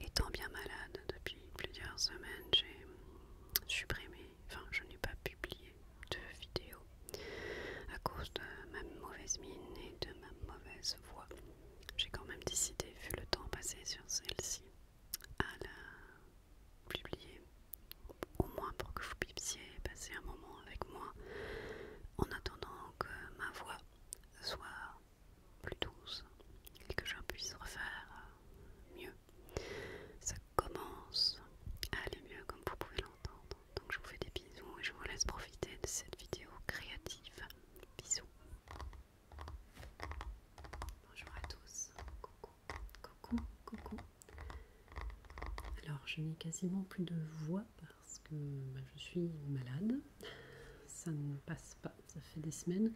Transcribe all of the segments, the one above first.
Étant bien malade depuis plusieurs semaines, j'ai supprimé, enfin je n'ai pas publié de vidéo à cause de ma mauvaise mine et de ma mauvaise voix. J'ai quand même décidé, vu le temps passé sur celle-ci, à la publier, au moins pour que vous puissiez passer un moment avec moi en attendant que ma voix soit plus douce et que je puisse refaire euh, mieux. Ça commence à aller mieux comme vous pouvez l'entendre. Donc je vous fais des bisous et je vous laisse profiter de cette vidéo créative. Bisous. Bonjour à tous. Coucou, coucou, coucou. Alors je n'ai quasiment plus de voix parce que bah, je suis malade. Ça ne passe pas ça fait des semaines.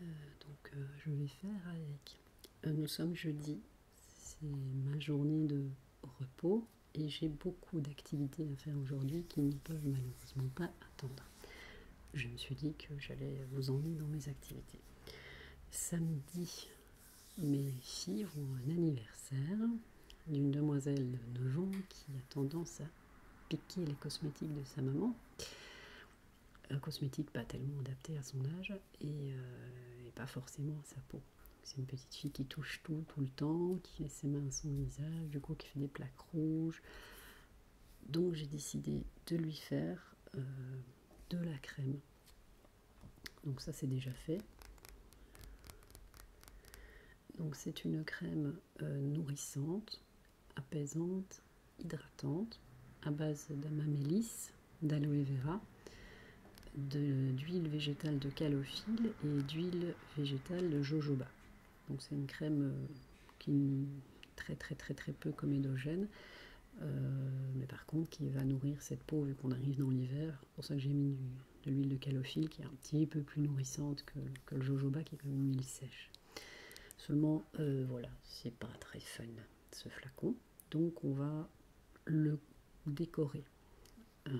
Euh, donc euh, je vais faire avec. Euh, nous sommes jeudi, c'est ma journée de repos et j'ai beaucoup d'activités à faire aujourd'hui qui ne peuvent malheureusement pas attendre. Je me suis dit que j'allais vous emmener dans mes activités. Samedi, mes filles ont un anniversaire d'une demoiselle de 9 ans qui a tendance à piquer les cosmétiques de sa maman. Un cosmétique pas tellement adapté à son âge euh, et, pas forcément à sa peau. C'est une petite fille qui touche tout tout le temps, qui met ses mains à son visage, du coup qui fait des plaques rouges. Donc j'ai décidé de lui faire euh, de la crème. Donc ça c'est déjà fait. Donc c'est une crème euh, nourrissante, apaisante, hydratante, à base d'amamélis, d'aloe vera, d'huile végétale de calophylle et d'huile végétale de jojoba. Donc c'est une crème euh, qui est très très très très peu comédogène, euh, mais par contre qui va nourrir cette peau vu qu'on arrive dans l'hiver. C'est pour ça que j'ai mis de l'huile de calophylle qui est un petit peu plus nourrissante que, le jojoba qui est comme une huile sèche. Seulement, euh, voilà, c'est pas très fun ce flacon. Donc on va le décorer. Euh,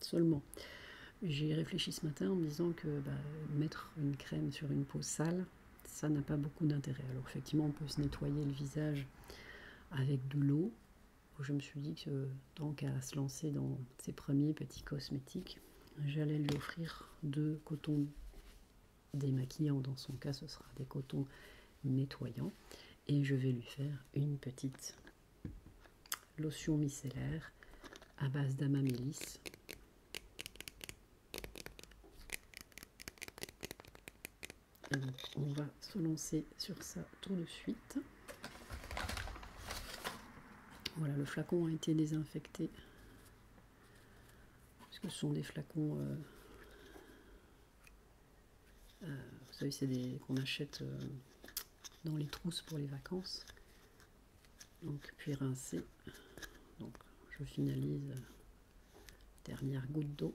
seulement, j'ai réfléchi ce matin en me disant que bah, mettre une crème sur une peau sale, ça n'a pas beaucoup d'intérêt. Alors effectivement, on peut se nettoyer le visage avec de l'eau. Je me suis dit que tant qu'à se lancer dans ses premiers petits cosmétiques, j'allais lui offrir deux cotons démaquillants, dans son cas ce sera des cotons nettoyants, et je vais lui faire une petite lotion micellaire à base d'amamélis. on va se lancer sur ça tout de suite. Voilà, le flacon a été désinfecté parce ce sont des flacons. Euh, euh, vous savez, c'est des qu'on achète euh, dans les trousses pour les vacances. Donc, puis rincer. Donc, je finalise dernière goutte d'eau.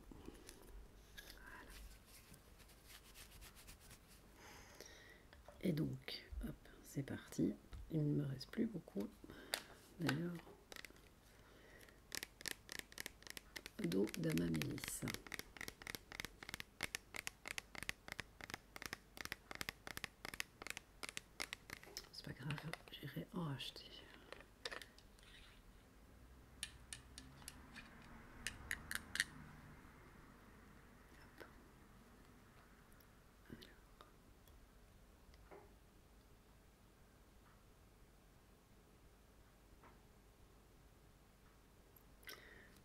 Et donc, hop, c'est parti. Il ne me reste plus beaucoup, d'ailleurs, d'eau d'amamélis. C'est pas grave, j'irai en racheter.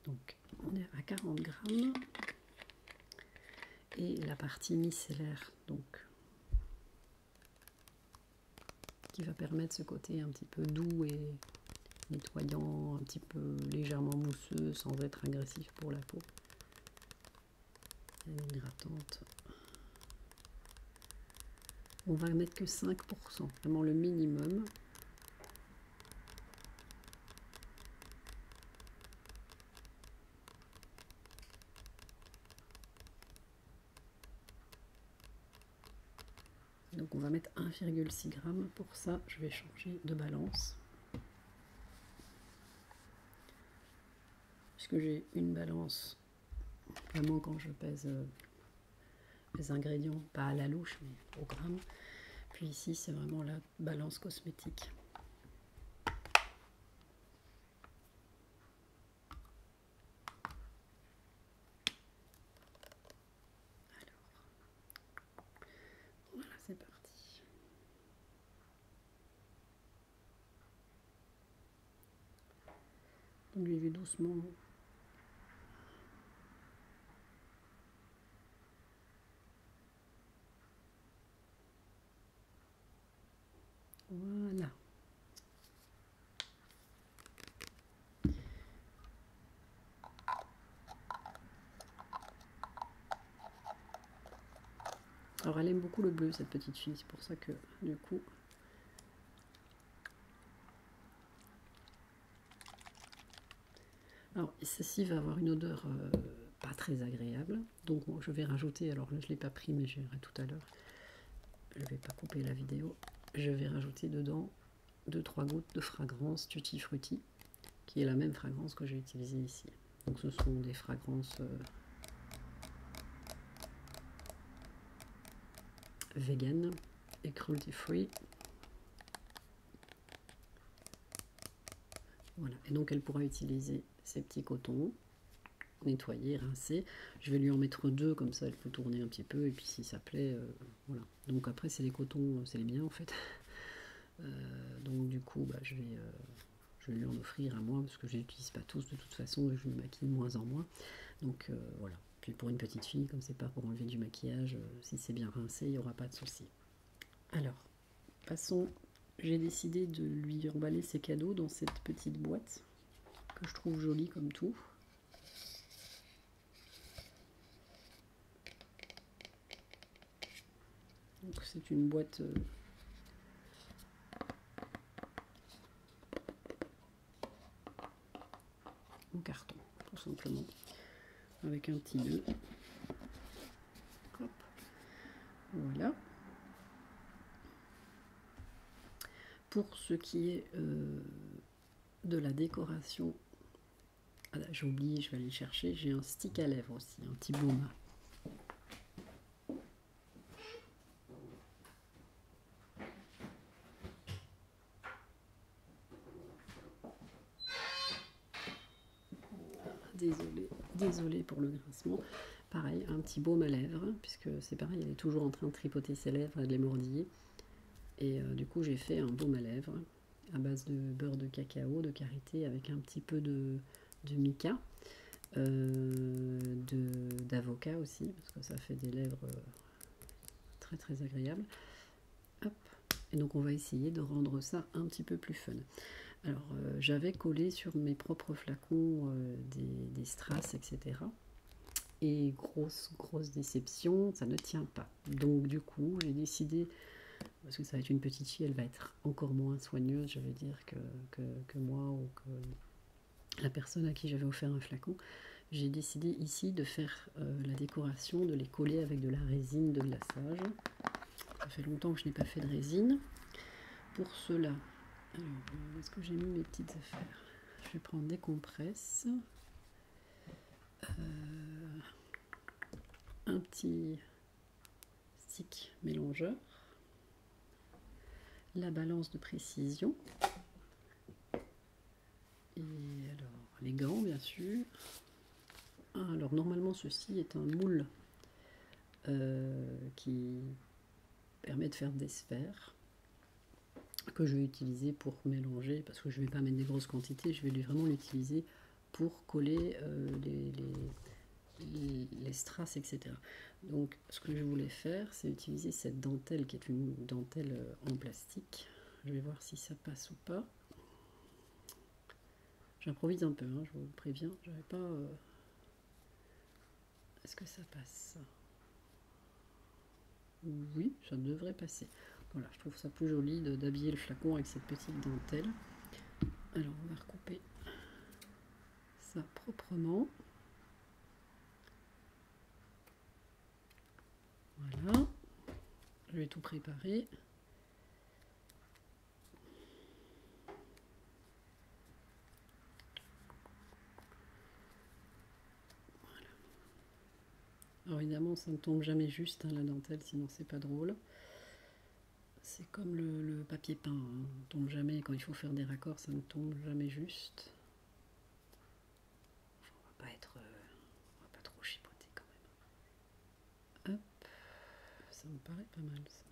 Donc on est à 40 grammes et la partie micellaire donc qui va permettre ce côté un petit peu doux et nettoyant, un petit peu légèrement mousseux sans être agressif pour la peau hydratante On va mettre que 5%, vraiment le minimum. Donc on va mettre 1,6 g. Pour ça, je vais changer de balance puisque j'ai une balance, vraiment quand je pèse euh, les ingrédients, pas à la louche, mais au gramme. Puis ici, c'est vraiment la balance cosmétique. Alors, voilà, c'est parti. Donc j'y vais doucement. Voilà. Alors elle aime beaucoup le bleu cette petite fille, c'est pour ça que du coup... Alors ceci va avoir une odeur euh, pas très agréable, donc je vais rajouter, alors je ne l'ai pas pris mais j'irai tout à l'heure, je ne vais pas couper la vidéo, je vais rajouter dedans 2-3 gouttes de fragrance Tutti Frutti, qui est la même fragrance que j'ai utilisée ici. Donc ce sont des fragrances euh, vegan et cruelty free. Voilà. Et donc elle pourra utiliser ces petits cotons, nettoyer, rincer. Je vais lui en mettre deux, comme ça elle peut tourner un petit peu, et puis si ça plaît, euh, voilà. Donc après c'est les cotons, euh, c'est les miens en fait. donc du coup, bah, je vais je vais lui en offrir à moi parce que je n'utilise pas tous de toute façon et je me maquille de moins en moins. Donc euh, voilà. Puis pour une petite fille, comme c'est pas pour enlever du maquillage, euh, si c'est bien rincé, il n'y aura pas de souci. Alors, passons. J'ai décidé de lui emballer ses cadeaux dans cette petite boîte que je trouve jolie comme tout c'est une boîte euh, en carton, tout simplement, avec un petit nœud. Voilà. Pour ce qui est euh, de la décoration, ah, j'ai oublié, je vais aller chercher, j'ai un stick à lèvres aussi, un petit baume. Désolée, désolé pour le grincement. Pareil, un petit baume à lèvres, puisque c'est pareil, elle est toujours en train de tripoter ses lèvres et de les mordiller. Et euh, du coup, j'ai fait un baume à lèvres à base de beurre de cacao, de karité, avec un petit peu de, de Mika, euh, d'avocat aussi, parce que ça fait des lèvres euh, très très agréables. Et donc on va essayer de rendre ça un petit peu plus fun. Alors euh, j'avais collé sur mes propres flacons des, des strass, etc. Et grosse, grosse déception, ça ne tient pas. Donc du coup j'ai décidé, parce que ça va être une petite fille, elle va être encore moins soigneuse, je veux dire, que, moi ou que la personne à qui j'avais offert un flacon, j'ai décidé ici de faire euh, la décoration, de les coller avec de la résine de glaçage. Ça fait longtemps que je n'ai pas fait de résine. Pour cela, où est-ce que j'ai mis mes petites affaires Je vais prendre des compresses, euh, un petit stick mélangeur, la balance de précision, et alors les gants bien sûr. Ah, alors normalement ceci est un moule euh, qui permet de faire des sphères que je vais utiliser pour mélanger parce que je ne vais pas mettre des grosses quantités, je vais vraiment l'utiliser pour coller euh, les strass, etc. Donc ce que je voulais faire, c'est utiliser cette dentelle qui est une dentelle euh, en plastique. Je vais voir si ça passe ou pas. J'improvise un peu, hein, je vous préviens. J'avais pas. Euh, est-ce que ça passe Oui, ça devrait passer. Voilà, je trouve ça plus joli d'habiller le flacon avec cette petite dentelle. Alors, on va recouper ça proprement. Voilà, je vais tout préparer. Voilà. Alors évidemment, ça ne tombe jamais juste hein, la dentelle, sinon c'est pas drôle. C'est comme le, papier peint, hein. on tombe jamais, quand il faut faire des raccords, ça ne tombe jamais juste. on va pas être... Euh, va pas trop chipoter quand même. Hop, ça me paraît pas mal ça.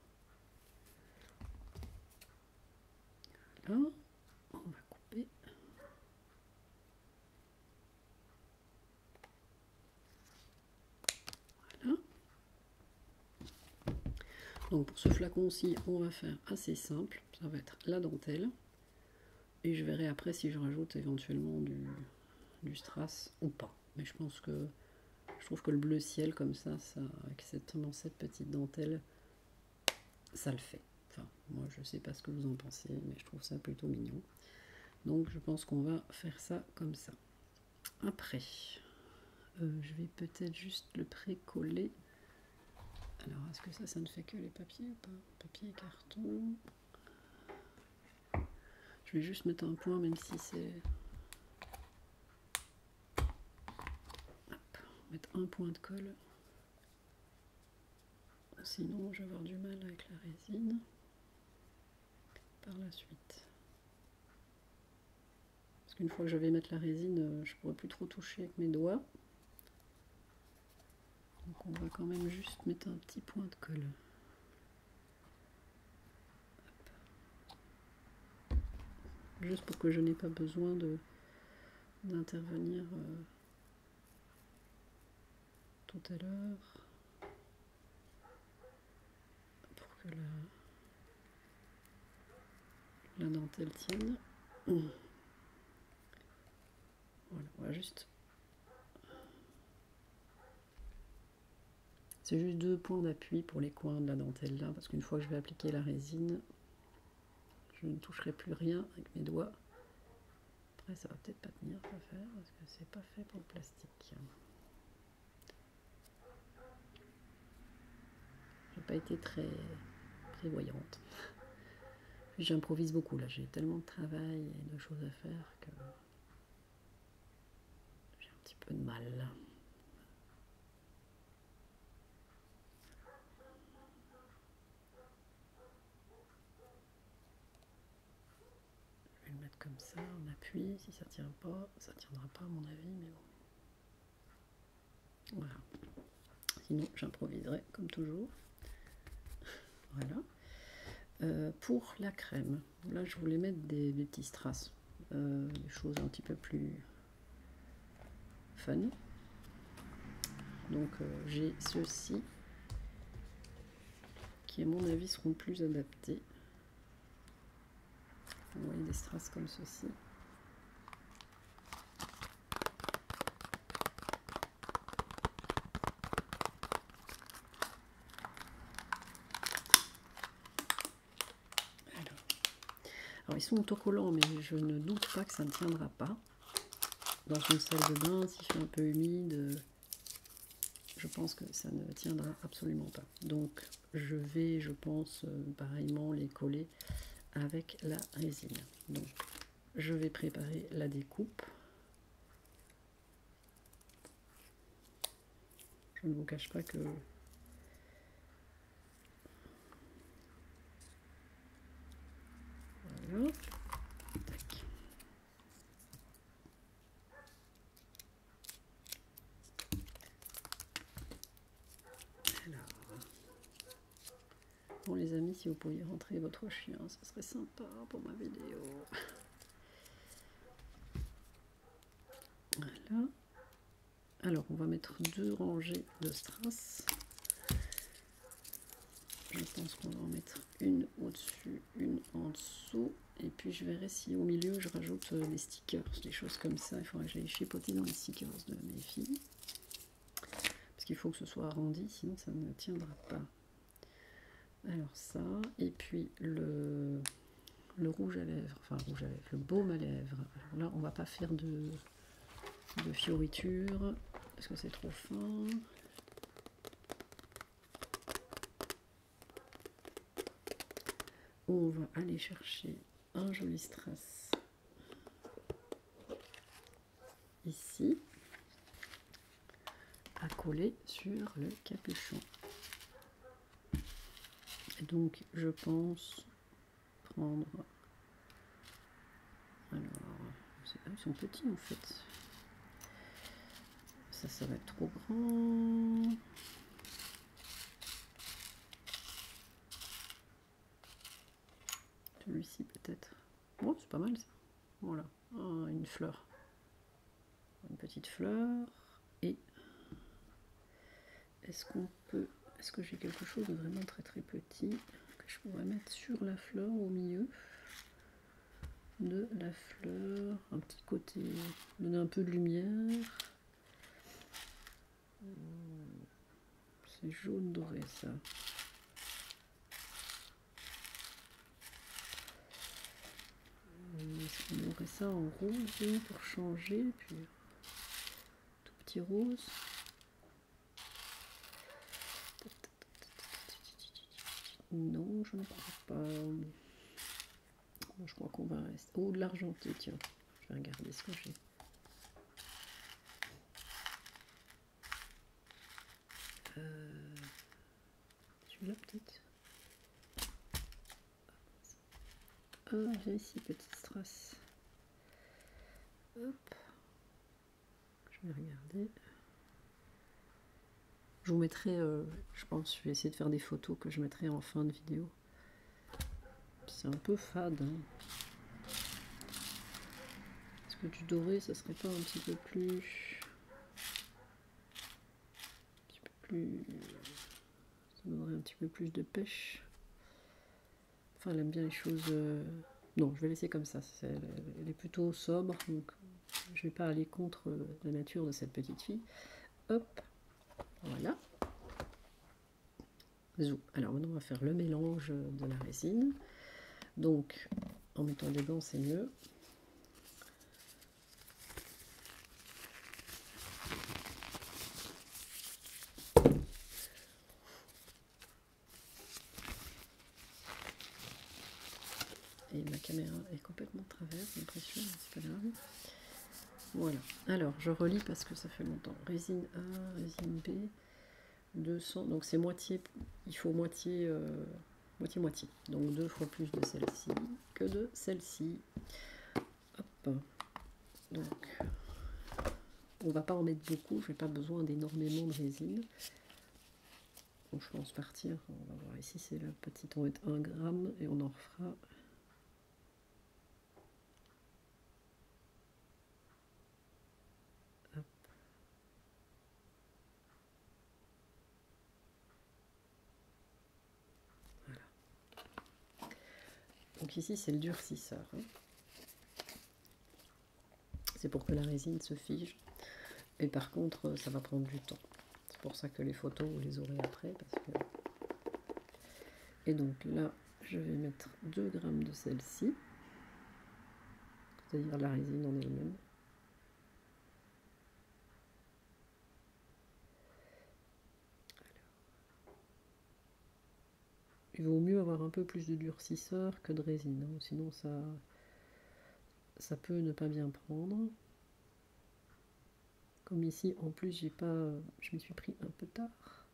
Alors, on va couper. Voilà. Donc pour ce flacon-ci, on va faire assez simple. Ça va être la dentelle. Et je verrai après si je rajoute éventuellement du, strass ou pas. Mais je pense que je trouve que le bleu ciel comme ça, avec cette, cette petite dentelle, ça le fait. Enfin, moi je ne sais pas ce que vous en pensez, mais je trouve ça plutôt mignon. Donc je pense qu'on va faire ça comme ça. Après, euh, je vais peut-être juste le pré-coller. Alors, est-ce que ça, ça ne fait que les papiers ou pas Papier et carton. Je vais juste mettre un point, même si c'est... mettre un point de colle. Sinon, je vais avoir du mal avec la résine par la suite. Parce qu'une fois que je vais mettre la résine, euh, je ne pourrai plus trop toucher avec mes doigts. Donc on va quand même juste mettre un petit point de colle. Juste pour que je n'ai pas besoin d'intervenir euh, tout à l'heure pour que la, dentelle tienne. Voilà, juste. C'est juste deux points d'appui pour les coins de la dentelle là, parce qu'une fois que je vais appliquer la résine, je ne toucherai plus rien avec mes doigts. Après, ça va peut-être pas tenir à faire parce que c'est pas fait pour le plastique. J'ai pas été très prévoyante. J'improvise beaucoup là, j'ai tellement de travail et de choses à faire que j'ai un petit peu de mal. Je vais le mettre comme ça, on appuie, si ça tient pas, ça tiendra pas à mon avis, mais bon. Voilà. Sinon, j'improviserai comme toujours. voilà. Euh, pour la crème, là je voulais mettre des, petits strass, euh, des choses un petit peu plus fun. Donc euh, j'ai ceux-ci qui à mon avis seront plus adaptés. Vous voyez des strass comme ceci. Alors. ils sont autocollants, mais je ne doute pas que ça ne tiendra pas. Dans une salle de bain, s'il fait un peu humide, euh, je pense que ça ne tiendra absolument pas. Donc, je vais, je pense, euh, pareillement les coller avec la résine. Donc, je vais préparer la découpe. Je ne vous cache pas que voilà. Bon les amis, si vous pouviez rentrer votre chien, ce serait sympa pour ma vidéo. Alors, on va mettre deux rangées de strass. Je pense qu'on va en mettre une au-dessus, une en dessous. Et puis, je verrai si au milieu, je rajoute euh, les des choses comme ça. Il faudrait que je les chipoter dans les stickers de mes filles. Parce qu'il faut que ce soit arrondi, sinon ça ne tiendra pas. Alors ça, et puis le, le rouge à lèvres, enfin le rouge à lèvres, le baume à lèvres. Alors là, on va pas faire de, de fioriture, parce que c'est trop fin. On va aller chercher un joli stress ici à coller sur le capuchon. donc je pense prendre alors ils sont petits en fait ça ça va être trop grand celui-ci peut-être. Bon, oh, c'est pas mal ça. Voilà, oh, une fleur. Une petite fleur. Et est-ce qu'on peut... Est-ce que j'ai quelque chose de vraiment très très petit que je pourrais mettre sur la fleur au milieu de la fleur, un petit côté, donner un peu de lumière. C'est jaune doré ça. Est-ce qu'on aurait ça en rose pour changer puis tout petit rose. Non, je ne crois pas. Je crois qu'on va rester. Oh, de l'argenté, tiens. Je vais regarder ce que j'ai. Euh, celui-là peut-être. Oh, j'ai ici petite trace. Hop. Je vais regarder. Je vous mettrai, euh, je pense, je vais essayer de faire des photos que je mettrai en fin de vidéo. C'est un peu fade. Hein. Est-ce que du doré, ça serait pas un petit peu plus... Un petit peu plus... Ça donnerait un petit peu plus de pêche. Enfin, elle aime bien les choses... Euh, non, je vais laisser comme ça. Elle est plutôt sobre, donc je vais pas aller contre euh, la nature de cette petite fille. Hop, voilà. Alors maintenant on va faire le mélange de la résine. Donc en mettant des gants c'est mieux. Et ma caméra est complètement travers, j'ai l'impression, c'est pas grave. Voilà. Alors, je relis parce que ça fait longtemps. Résine A, résine B, 200. Donc, c'est moitié. Il faut moitié. Euh, moitié moitié. Donc, deux fois plus de celle-ci que de celle-ci. Hop. Donc, on va pas en mettre beaucoup. Je n'ai pas besoin d'énormément de résine. je pense partir. On va voir ici. C'est la petite. On va 1 gramme et on en refera donc ici c'est le durcisseur. Hein. C'est pour que la résine se fige. Et par contre, ça va prendre du temps. C'est pour ça que les photos, vous les aurez après. Et donc là, je vais mettre 2 grammes de celle-ci, c'est-à-dire la résine en elle-même. Il vaut mieux avoir un peu plus de durcisseur que de résine, hein, sinon ça, ça peut ne pas bien prendre. Comme ici, en plus, j'ai pas, je me suis pris un peu tard.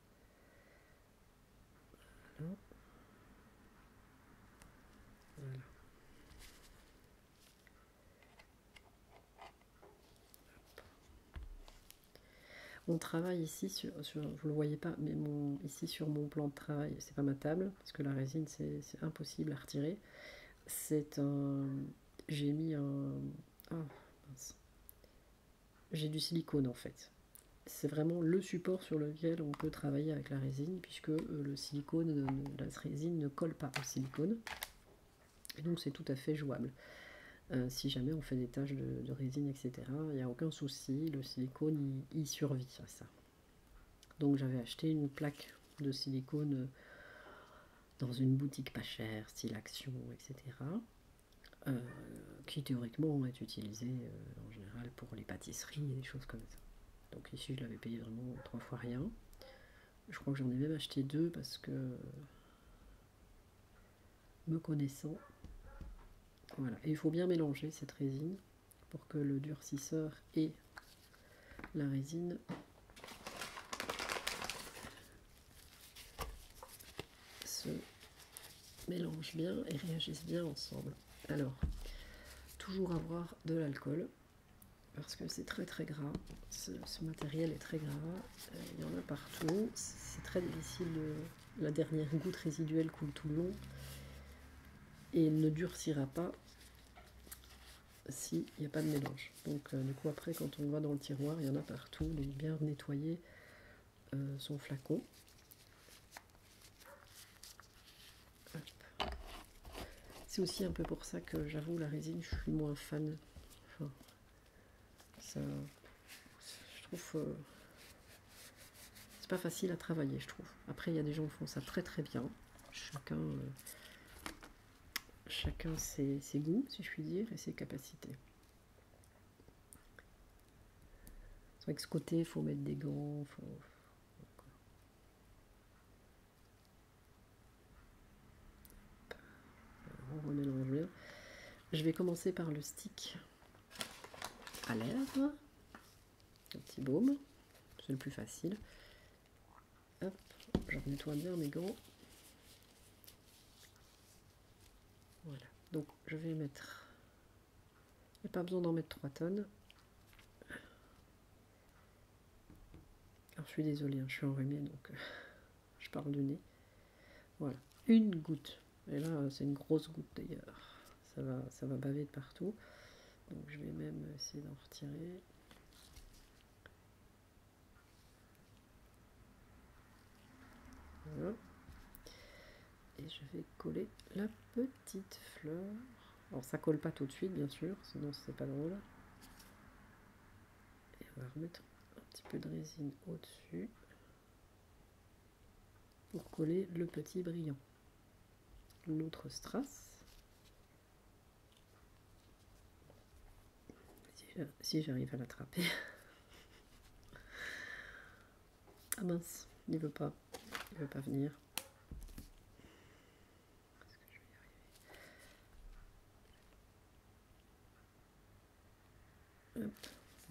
On travaille ici sur, vous le voyez pas, mais mon, ici sur mon plan de travail, c'est pas ma table, parce que la résine c'est impossible à retirer. C'est un, j'ai mis un, ah, j'ai du silicone en fait. C'est vraiment le support sur lequel on peut travailler avec la résine, puisque euh, le silicone, la résine ne colle pas au silicone. donc c'est tout à fait jouable. Euh, si jamais on fait des taches de, résine, etc., il n'y a aucun souci, le silicone y survit à ça. Donc j'avais acheté une plaque de silicone euh, dans une boutique pas chère, style Action, etc. Euh, qui théoriquement est utilisé euh, en général pour les pâtisseries et des choses comme ça. Donc ici je l'avais payé vraiment trois fois rien. Je crois que j'en ai même acheté deux parce que me connaissant, voilà. Et il faut bien mélanger cette résine pour que le durcisseur et la résine se mélangent bien et réagissent bien ensemble. Alors, toujours avoir de l'alcool, parce que c'est très très gras, ce, matériel est très gras, euh, il y en a partout, c'est très difficile, la dernière goutte résiduelle coule tout le long, et ne durcira pas s'il n'y a pas de mélange. Donc euh, du coup après quand on voit dans le tiroir, il y en a partout, est bien nettoyé, euh, son flacon. C'est aussi un peu pour ça que j'avoue la résine, je suis moins fan. je trouve, euh, c'est pas facile à travailler, je trouve. Après, il y a des gens qui font ça très très bien. Chacun, euh, chacun ses goûts, si je puis dire, et ses capacités. C'est vrai que ce côté, il faut mettre des gants, Je vais commencer par le stick à lèvres, un petit baume, c'est le plus facile. Hop, je nettoie bien mes gants. Voilà, donc je vais mettre il n'y a pas besoin d'en mettre 3 tonnes. Alors, je suis désolée, hein, je suis enrhumée, donc euh, je parle de nez. Voilà, une goutte. Et là, c'est une grosse goutte d'ailleurs. Ça va, ça va baver de partout. Donc, je vais même essayer d'en retirer. Et je vais coller la petite fleur. Alors ça colle pas tout de suite bien sûr, sinon c'est pas drôle. Et on va remettre un petit peu de résine au-dessus pour coller le petit brillant. L'autre strass. Si j'arrive à l'attraper. Ah mince, il veut pas. Il veut pas venir.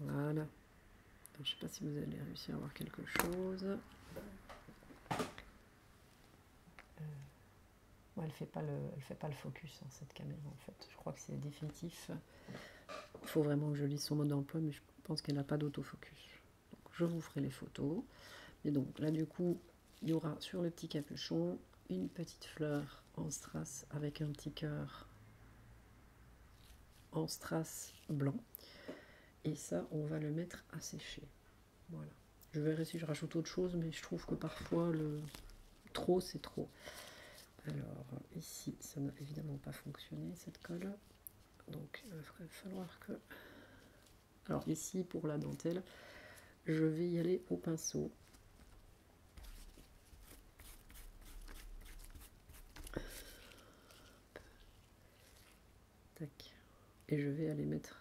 Voilà, je ne sais pas si vous allez réussir à voir quelque chose. Euh, elle fait pas le, fait pas le focus hein, cette caméra en fait. Je crois que c'est définitif. Il faut vraiment que je lise son mode d'emploi, mais je pense qu'elle n'a pas d'autofocus. je vous ferai les photos. Mais donc là du coup, il y aura sur le petit capuchon une petite fleur en strass avec un petit cœur en strass blanc. Et ça, on va le mettre à sécher. Voilà. Je verrai si je rajoute autre chose, mais je trouve que parfois le trop c'est trop. Alors ici, ça n'a évidemment pas fonctionné cette colle. Donc il va falloir que... Alors ici, pour la dentelle, je vais y aller au pinceau. Tac. Et je vais aller mettre...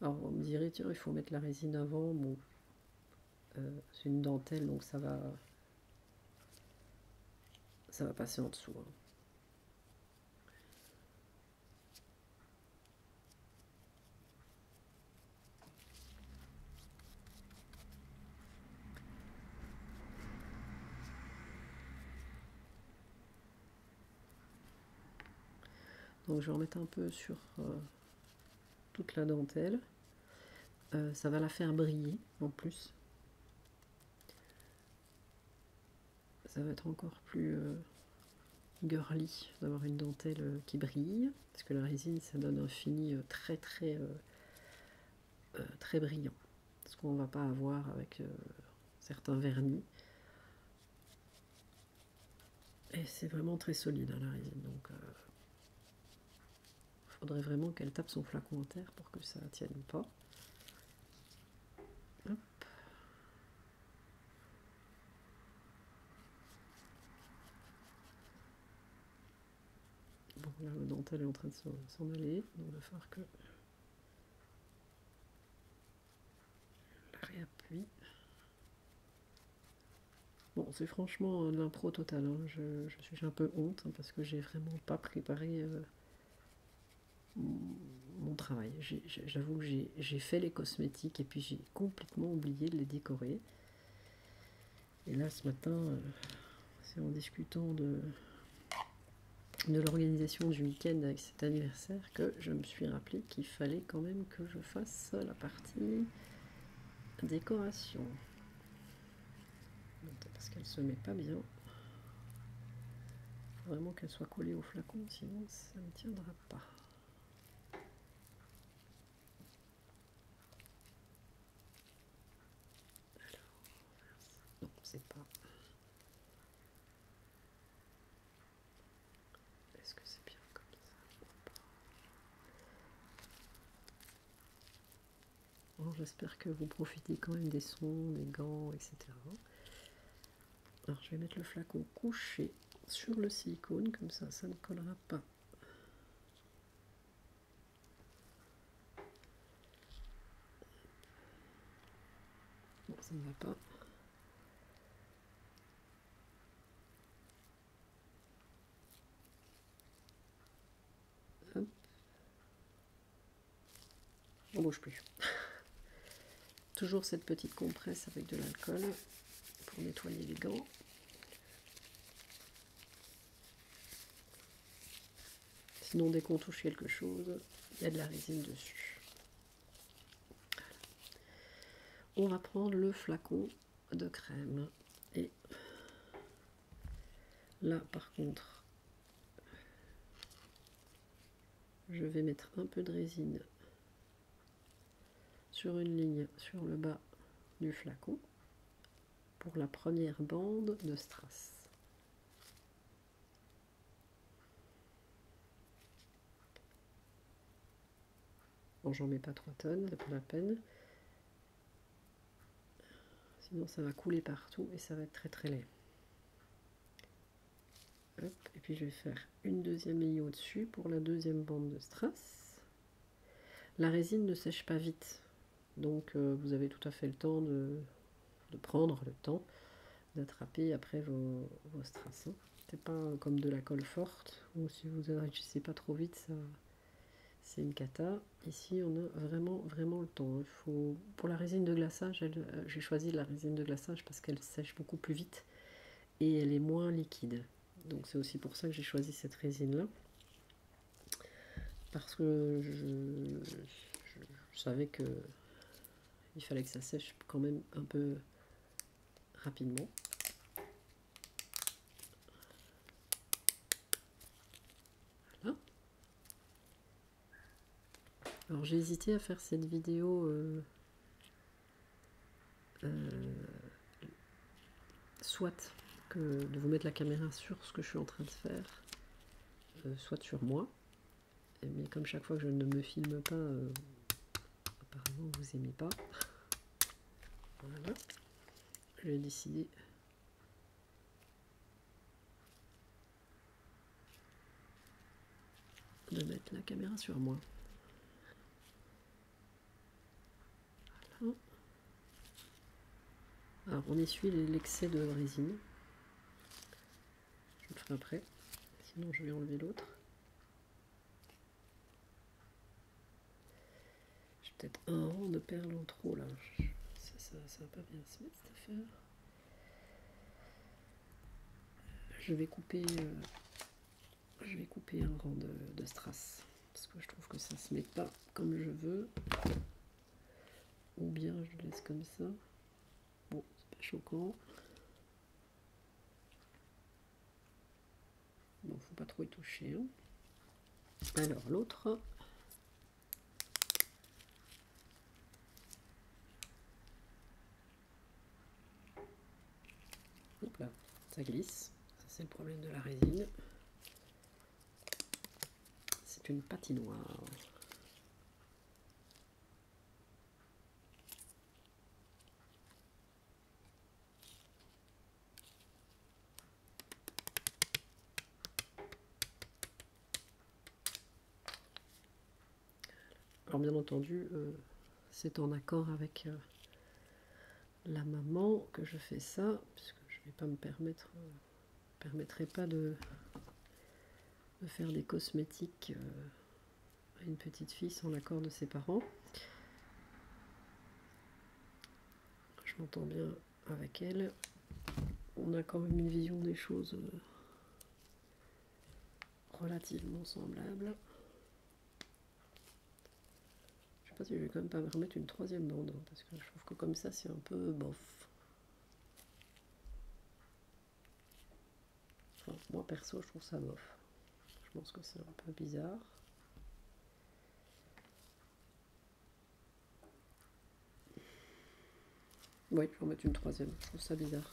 Alors, vous me direz, tiens, il faut mettre la résine avant. Bon, euh, c'est une dentelle, donc ça va, ça va passer en dessous. Hein. Donc je vais en mettre un peu sur euh, toute la dentelle. Euh, ça va la faire briller en plus. Ça va être encore plus euh, girly d'avoir une dentelle euh, qui brille, parce que la résine ça donne un fini très très très brillant, ce qu'on va pas avoir avec certains vernis. Et c'est vraiment très solide hein, la résine, donc il faudrait vraiment qu'elle tape son flacon en terre pour que ça tienne pas. Bon, le dentel est en train de s'en aller, donc il va falloir que la réappuie. Bon, c'est franchement euh, l'impro total. Hein. Je, suis un peu honte hein, parce que j'ai vraiment pas préparé euh, mon travail. J'avoue que j'ai fait les cosmétiques et puis j'ai complètement oublié de les décorer. Et là, ce matin, euh, c'est en discutant de, de l'organisation du week-end avec cet anniversaire que je me suis rappelé qu'il fallait quand même que je fasse la partie décoration parce qu'elle se met pas bien. vraiment qu'elle soit collée au flacon, sinon ça ne tiendra pas. Alors, non, c'est pas. Est-ce que c'est bien comme ça J'espère que vous profitez quand même des sons, des gants, etc. Alors je vais mettre le flacon couché sur le silicone, comme ça ça ne collera pas. ça ne va pas. On bouge plus. Toujours cette petite compresse avec de l'alcool pour nettoyer les gants. Sinon, dès qu'on touche quelque chose, il y a de la résine dessus. On va prendre le flacon de crème et là par contre je vais mettre un peu de résine sur une ligne sur le bas du flacon pour la première bande de strass Bon, j'en mets pas 3 tonnes, c'est pas la peine. Sinon ça va couler partout et ça va être très très laid. et puis je vais faire une deuxième ligne au-dessus pour la deuxième bande de strass. La résine ne sèche pas vite, donc euh, vous avez tout à fait le temps de, prendre le temps d'attraper après vos, vos strass. Hein. C'est pas comme de la colle forte, ou si vous sais pas trop vite, ça, c'est une cata. Ici, on a vraiment, vraiment le temps. Hein. Pour la résine de glaçage, euh, j'ai choisi la résine de glaçage parce qu'elle sèche beaucoup plus vite et elle est moins liquide. Donc c'est aussi pour ça que j'ai choisi cette résine-là. Parce que je, savais que il fallait que ça sèche quand même un peu rapidement. Hein Alors j'ai hésité à faire cette vidéo euh, euh, soit que de vous mettre la caméra sur ce que je suis en train de faire, euh, soit sur moi. Mais comme chaque fois que je ne me filme pas, apparemment vous aimez pas. Voilà. J'ai décidé de mettre la caméra sur moi. Alors on essuie l'excès de résine. Je le ferai après, sinon je vais enlever l'autre. J'ai peut-être un rang de perles en trop là. Ça, ça, va pas bien se mettre cette affaire. Euh, je vais couper, euh, je vais couper un rang de, strass parce que je trouve que ça se met pas comme je veux. Ou bien je le laisse comme ça. Bon, c'est pas choquant. Bon, faut pas trop y toucher. Hein. Alors l'autre, ça glisse. c'est le problème de la résine. C'est une patinoire. Alors bien entendu, euh, c'est en accord avec euh, la maman que je fais ça, puisque je ne vais pas me permettre, euh, permettrai pas de, faire des cosmétiques à une petite fille sans l'accord de ses parents. Je m'entends bien avec elle, on a quand même une vision des choses euh, relativement semblable. Je sais pas si je vais quand même pas me remettre une troisième bande, hein, parce que je trouve que comme ça c'est un peu bof. moi perso je trouve ça bof. Je pense que c'est un peu bizarre. Oui, je vais mettre une troisième. Je ça bizarre.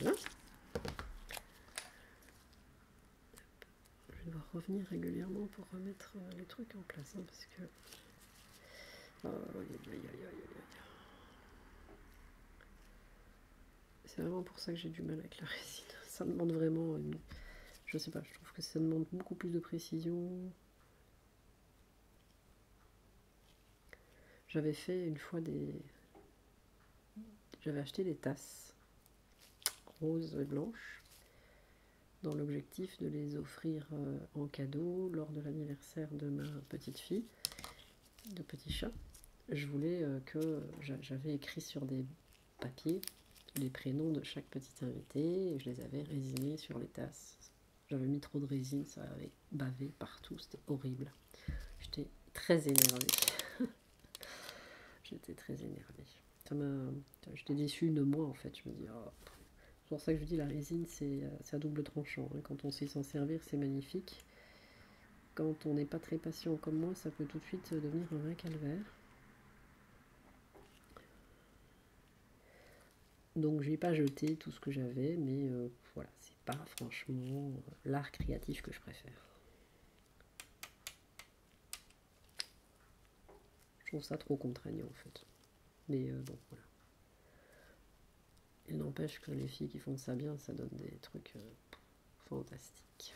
Je vais devoir revenir régulièrement pour remettre euh, les trucs en place, hein, parce que... Oh, C'est vraiment pour ça que j'ai du mal avec la résine. Ça demande vraiment Je sais pas, je trouve que ça demande beaucoup plus de précision. J'avais fait une fois des. J'avais acheté des tasses roses et blanches dans l'objectif de les offrir euh, en cadeau lors de l'anniversaire de ma petite fille, de petit chat. Je voulais euh, que j'avais écrit sur des papiers les prénoms de chaque petite invité et je les avais résinés sur les tasses. J'avais mis trop de résine, ça avait bavé partout, c'était horrible. J'étais très énervée. J'étais très énervée. Ça j'étais déçue de moi en fait. Je me dis, oh, c'est pour ça que je dis la résine, c'est euh, à double tranchant. Hein. Quand on sait s'en servir, c'est magnifique. Quand on n'est pas très patient comme moi, ça peut tout de suite devenir un vrai calvaire. Donc je n'ai pas jeté tout ce que j'avais, mais euh, voilà c'est pas franchement euh, l'art créatif que je préfère. Je trouve ça trop contraignant en fait. Mais euh, bon, voilà. Il n'empêche que les filles qui font ça bien, ça donne des trucs euh, fantastiques.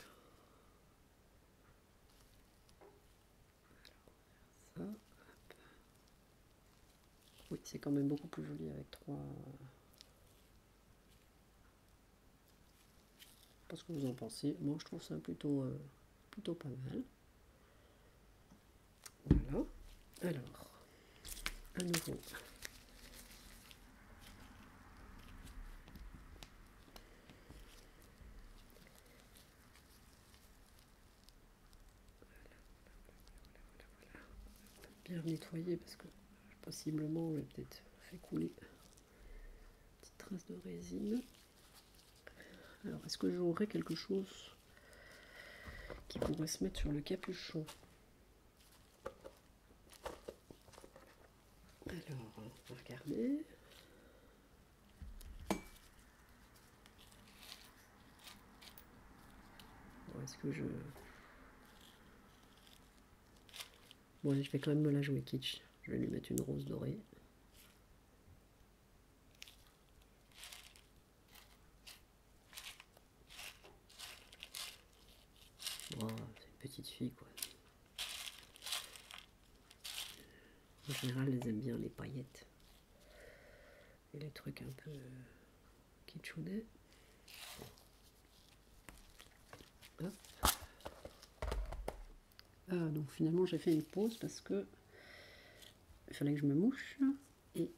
Oui, c'est quand même beaucoup plus joli avec trois, parce que vous en pensez. Moi, je trouve ça plutôt, euh, plutôt pas mal. Voilà. Alors, un nouveau. bien nettoyer parce que possiblement on vais peut-être fait couler une petite trace de résine alors est-ce que j'aurai quelque chose qui pourrait se mettre sur le capuchon alors on va regarder est-ce que je Bon, je vais quand même me la jouer kitsch. Je vais lui mettre une rose dorée. Bon, c'est une petite fille, quoi. En général, elles aiment bien les paillettes. Et les trucs un peu euh, kitschoudés. Ah, donc finalement j'ai fait une pause parce que il fallait que je me mouche et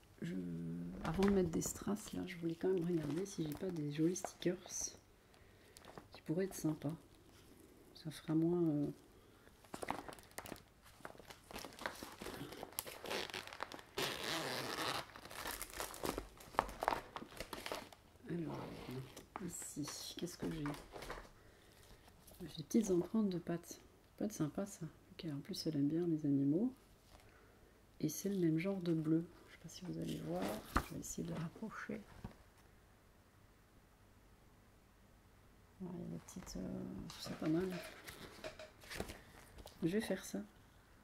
avant de mettre des strass là je voulais quand même regarder si j'ai pas des jolis stickers qui pourraient être sympas ça fera moins euh, alors, ici, qu'est-ce que j'ai J'ai des petites empreintes de pâtes. Pas sympa ça. en plus, elle aime bien les animaux. Et c'est le même genre de bleu. Je ne sais pas si vous allez voir. Je vais essayer de rapprocher. il y a des petites. c'est euh, pas mal. Je vais faire ça.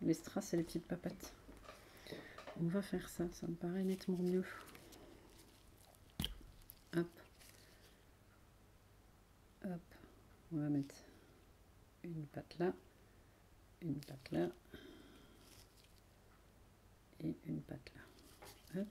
Les strass et les petites papates. On va faire ça, ça me paraît nettement mieux. Hop. Hop. On va mettre une patte là, une patte là, et une patte là. Hop.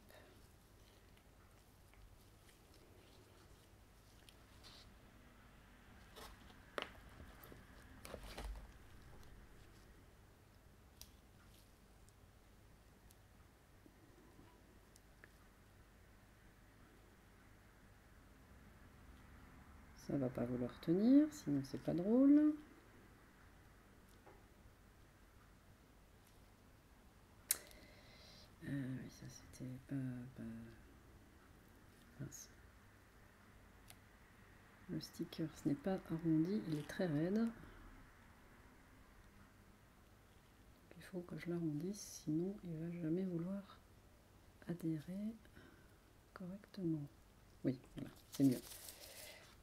Ça va pas vouloir tenir, sinon c'est pas drôle. Ah ça c'était pas... Le sticker, ce n'est pas arrondi, il est très raide. il faut que je l'arrondisse, sinon il va jamais vouloir adhérer correctement. Oui, voilà, c'est mieux.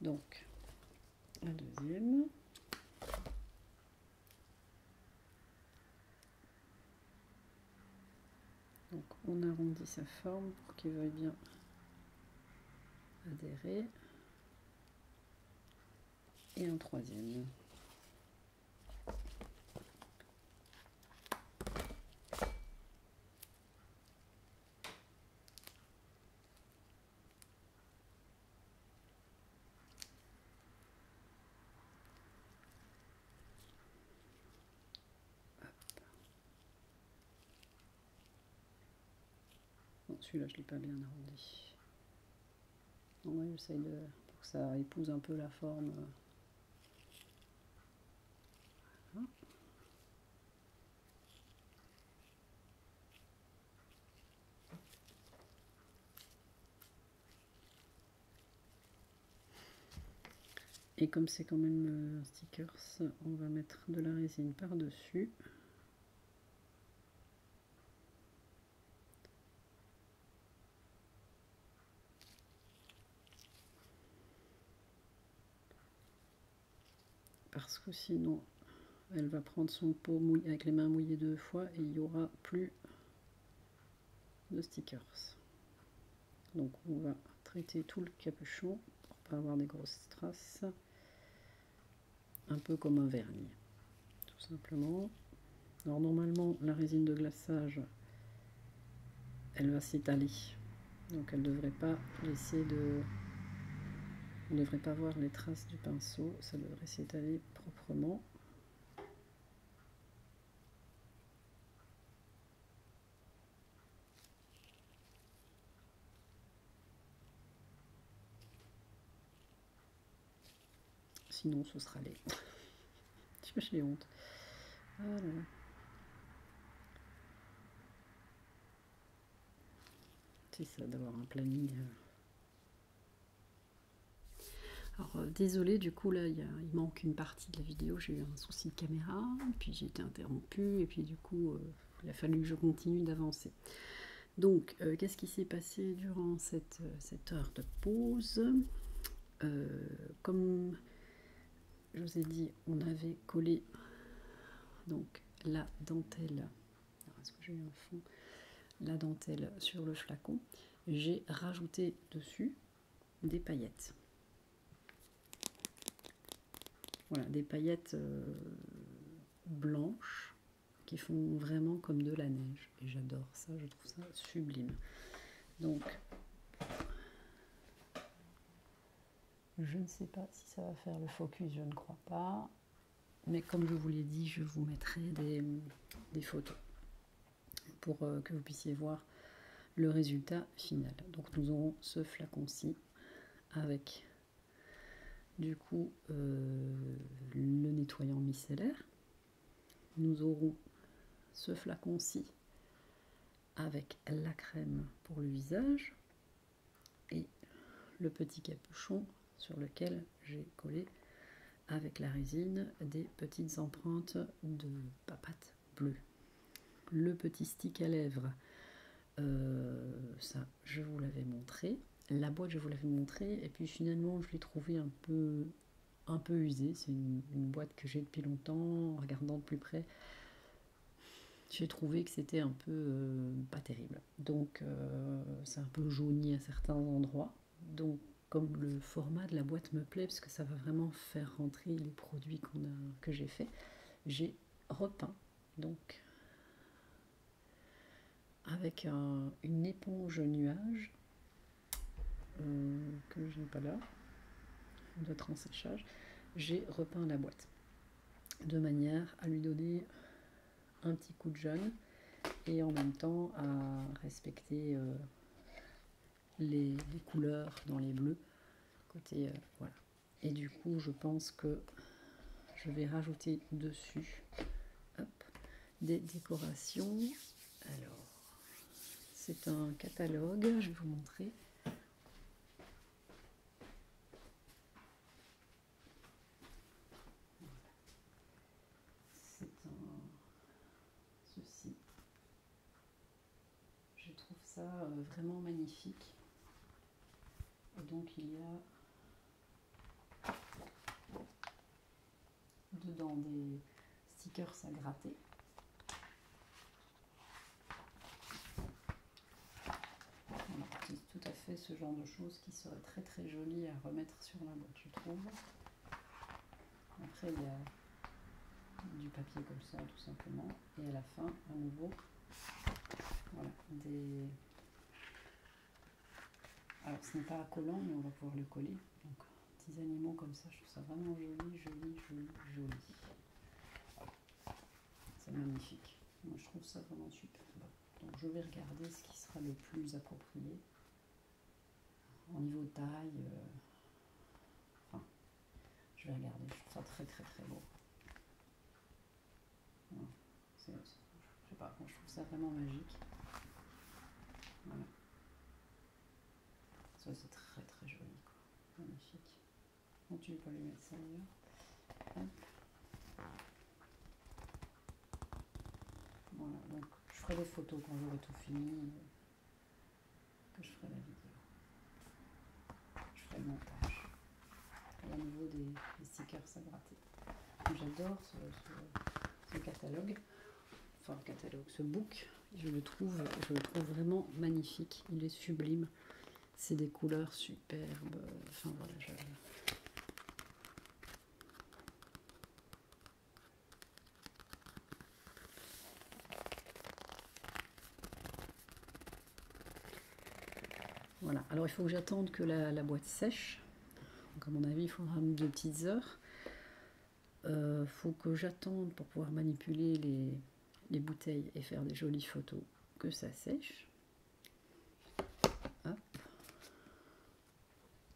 Donc, la deuxième. Donc on arrondit sa forme pour qu'il veuille bien adhérer. Et un troisième celui-là, je ne l'ai pas bien arrondi. de. pour que ça épouse un peu la forme. Euh. Et comme c'est quand même euh, stickers, on va mettre de la résine par-dessus. Parce que sinon, elle va prendre son pot mouillé, avec les mains mouillées deux fois et il n'y aura plus de stickers. Donc on va traiter tout le capuchon pour pas avoir des grosses traces un peu comme un vernis tout simplement alors normalement la résine de glaçage elle va s'étaler donc elle ne devrait pas laisser de on ne devrait pas voir les traces du pinceau ça devrait s'étaler proprement Sinon, ce sera les. J'ai honte. Ah C'est ça d'avoir un planning. Euh. Alors euh, désolé, du coup là il, manque une partie de la vidéo, j'ai eu un souci de caméra, puis j'ai été interrompue, et puis du coup euh, il a fallu que je continue d'avancer. Donc, euh, qu'est-ce qui s'est passé durant cette, euh, heure de pause euh, Comme je vous ai dit, on avait collé donc la dentelle. La dentelle sur le flacon. J'ai rajouté dessus des paillettes. Voilà, des paillettes euh, blanches qui font vraiment comme de la neige. Et j'adore ça, je trouve ça sublime. Donc, je ne sais pas si ça va faire le focus, je ne crois pas. Mais comme je vous l'ai dit, je vous mettrai des, photos pour euh, que vous puissiez voir le résultat final. Donc nous aurons ce flacon-ci avec du coup euh, le nettoyant micellaire. Nous aurons ce flacon-ci avec la crème pour le visage et le petit capuchon sur lequel j'ai collé avec la résine des petites empreintes de papates bleue. Le petit stick à lèvres euh, ça, je vous l'avais montré. La boîte, je vous l'avais montré. Et puis finalement, je l'ai trouvée un peu, un peu usée. C'est une, boîte que j'ai depuis longtemps. En regardant de plus près, j'ai trouvé que c'était un peu euh, pas terrible. Donc, euh, c'est un peu jauni à certains endroits. Donc, comme le format de la boîte me plaît, parce que ça va vraiment faire rentrer les produits qu'on que j'ai fait, j'ai repeint donc avec une éponge nuage euh, que je n'ai pas là, de séchage, j'ai repeint la boîte de manière à lui donner un petit coup de jaune et en même temps à respecter euh, les, couleurs dans les bleus côté euh, voilà et du coup je pense que je vais rajouter dessus des décorations alors c'est un catalogue je vais vous montrer c'est un ceci je trouve ça euh, vraiment magnifique. Et donc il y a dedans des stickers à gratter. tout à fait ce genre de choses qui serait très très joli à remettre sur la boîte, tu trouves. Après, il y a du papier comme ça, tout simplement et à la fin à nouveau voilà, des alors ce n'est pas collant mais on va pouvoir le coller donc petits animaux comme ça je trouve ça vraiment joli joli joli joli c'est magnifique moi je trouve ça vraiment super donc je vais regarder ce qui sera le plus approprié au niveau taille euh, enfin je vais regarder je trouve ça très très très beau je pas, je trouve ça vraiment magique. Voilà. Ça c'est très très joli, Magnifique. On ne vais pas lui mettre ça d'ailleurs. Voilà, donc je ferai des photos quand j'aurai tout fini, euh, que je ferai la vidéo. Je fais le montage. Et à niveau des, stickers gratte. J'adore ce, catalogue. Enfin, le catalogue, ce book. Je le trouve, je le trouve vraiment magnifique. Il est sublime. C'est des couleurs superbes. Enfin, voilà, voilà, alors il faut que j'attende que la, boîte sèche. à mon avis, il faudra deux petites heures. Il euh, faut que j'attende pour pouvoir manipuler les, bouteilles et faire des jolies photos que ça sèche.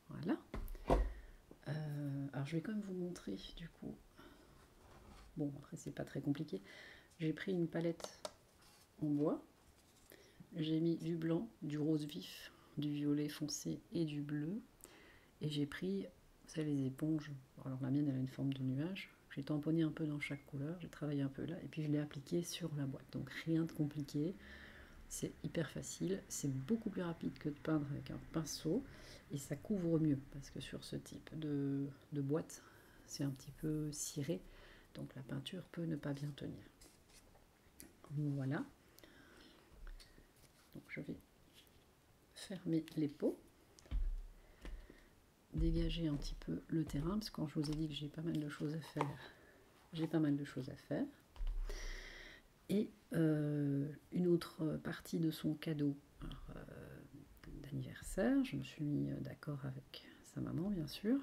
Voilà. Euh, alors je vais quand même vous montrer du coup. Bon, après c'est pas très compliqué. J'ai pris une palette en bois. J'ai mis du blanc, du rose vif, du violet foncé et du bleu. Et j'ai pris, ça les éponges. Alors la mienne, elle a une forme de nuage. J'ai tamponné un peu dans chaque couleur, j'ai travaillé un peu là, et puis je l'ai appliqué sur la boîte. Donc rien de compliqué, c'est hyper facile, c'est beaucoup plus rapide que de peindre avec un pinceau, et ça couvre mieux, parce que sur ce type de boîte, c'est un petit peu ciré. Donc la peinture peut ne pas bien tenir. Voilà. Donc je vais fermer les pots, dégager un petit peu le terrain, parce que quand je vous ai dit que j'ai pas mal de choses à faire, j'ai pas mal de choses à faire. Et euh, une autre partie de son cadeau euh, d'anniversaire, je me suis euh, d'accord avec sa maman bien sûr,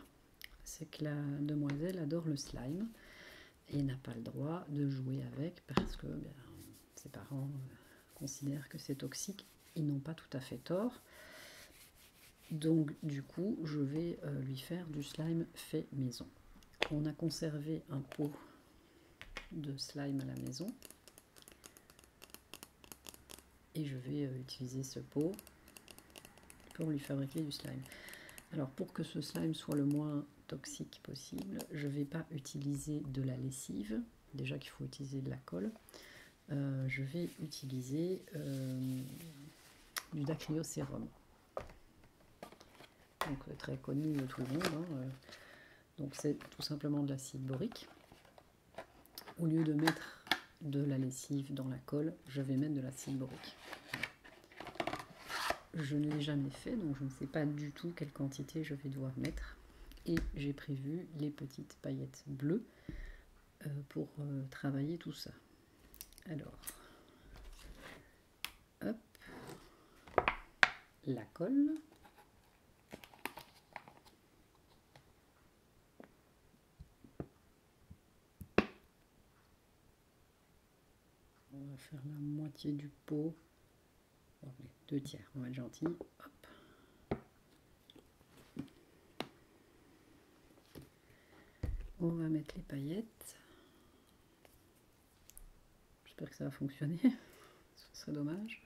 c'est que la demoiselle adore le slime et n'a pas le droit de jouer avec parce que ben, ses parents euh, considèrent que c'est toxique. Ils n'ont pas tout à fait tort. Donc du coup, je vais euh, lui faire du slime fait maison. On a conservé un pot de slime à la maison et je vais euh, utiliser ce pot pour lui fabriquer du slime. Alors pour que ce slime soit le moins toxique possible, je ne vais pas utiliser de la lessive, déjà qu'il faut utiliser de la colle. Euh, je vais utiliser euh, du dacryocérum. Donc très connu de tout le monde. Hein, Donc c'est tout simplement de l'acide borique au lieu de mettre de la lessive dans la colle, je vais mettre de l'acide borique. Je ne l'ai jamais fait, donc je ne sais pas du tout quelle quantité je vais devoir mettre. Et j'ai prévu les petites paillettes bleues euh, pour euh, travailler tout ça. Alors, hop, la colle. On va faire la moitié du pot. deux tiers, on va être gentil. Hop. On va mettre les paillettes. J'espère que ça va fonctionner. Ce serait dommage.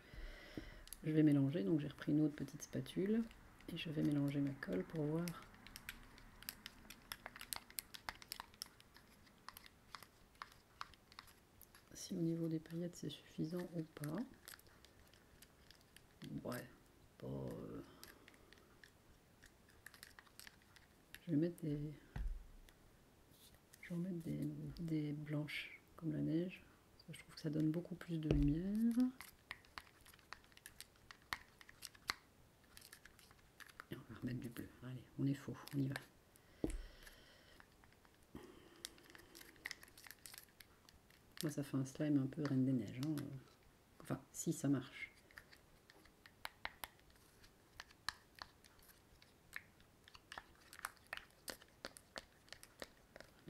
Je vais mélanger, donc j'ai repris une autre petite spatule et je vais mélanger ma colle pour voir si au niveau des paillettes c'est suffisant ou pas. Ouais, euh, je vais mettre des, je des, des blanches comme la neige. je trouve que ça donne beaucoup plus de lumière on va remettre du bleu. Allez, on est faux, on y va. Moi, ça fait un slime un peu reine des neiges. Hein. Enfin, si ça marche.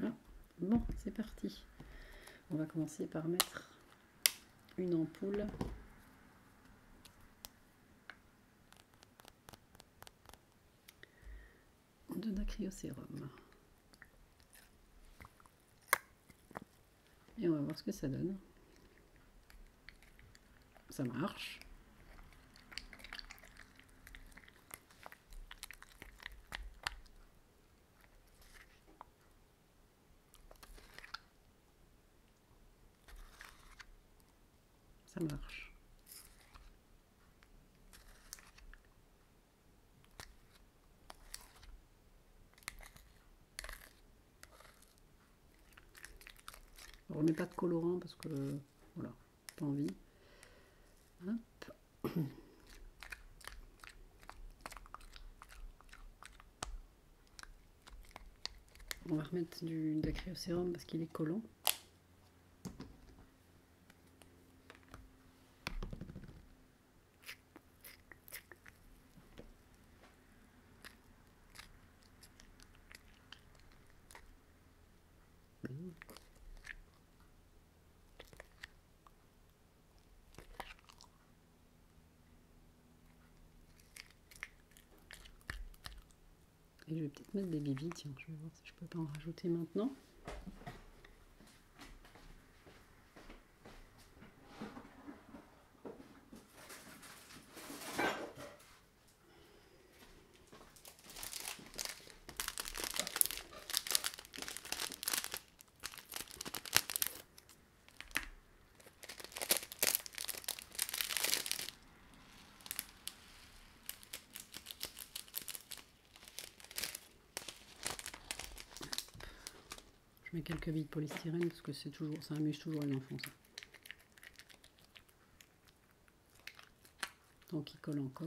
Ah, bon, c'est parti. On va commencer par mettre une ampoule. de dacryocérum. Et on va voir ce que ça donne. Ça marche. Ça marche. On remet pas de colorant parce que voilà, pas envie. On va remettre du, de parce qu'il est collant. Et je vais peut-être mettre des bibis, tiens, je vais voir si je peux pas en rajouter maintenant. Je mets quelques billes de polystyrène parce que c'est toujours, ça amuse toujours les enfants. Donc, Tant qu'il colle encore.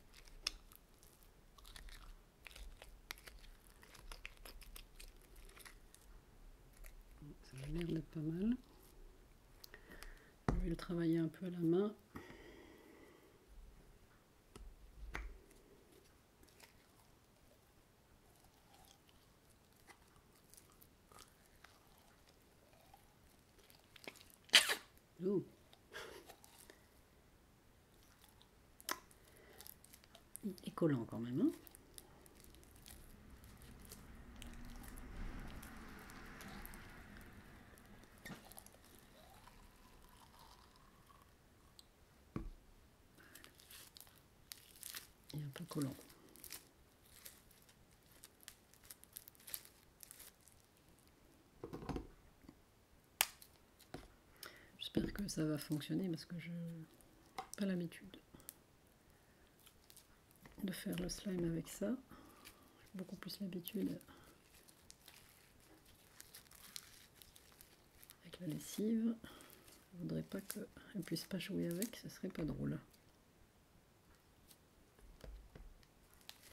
Ça a l'air pas mal. Je vais le travailler un peu à la main. Ouh. Il est collant quand même. Hein Il est un peu collant. J'espère que ça va fonctionner parce que je n'ai pas l'habitude de faire le slime avec ça. J'ai beaucoup plus l'habitude avec la lessive. Je voudrais pas qu'elle ne puisse pas jouer avec, ce serait pas drôle.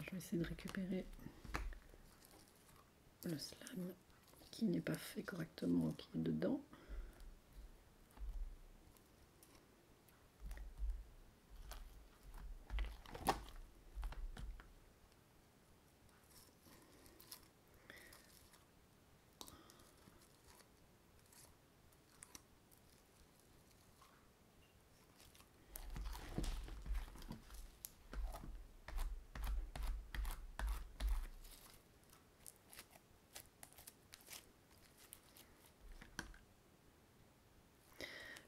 Je vais essayer de récupérer le slime qui n'est pas fait correctement qui est dedans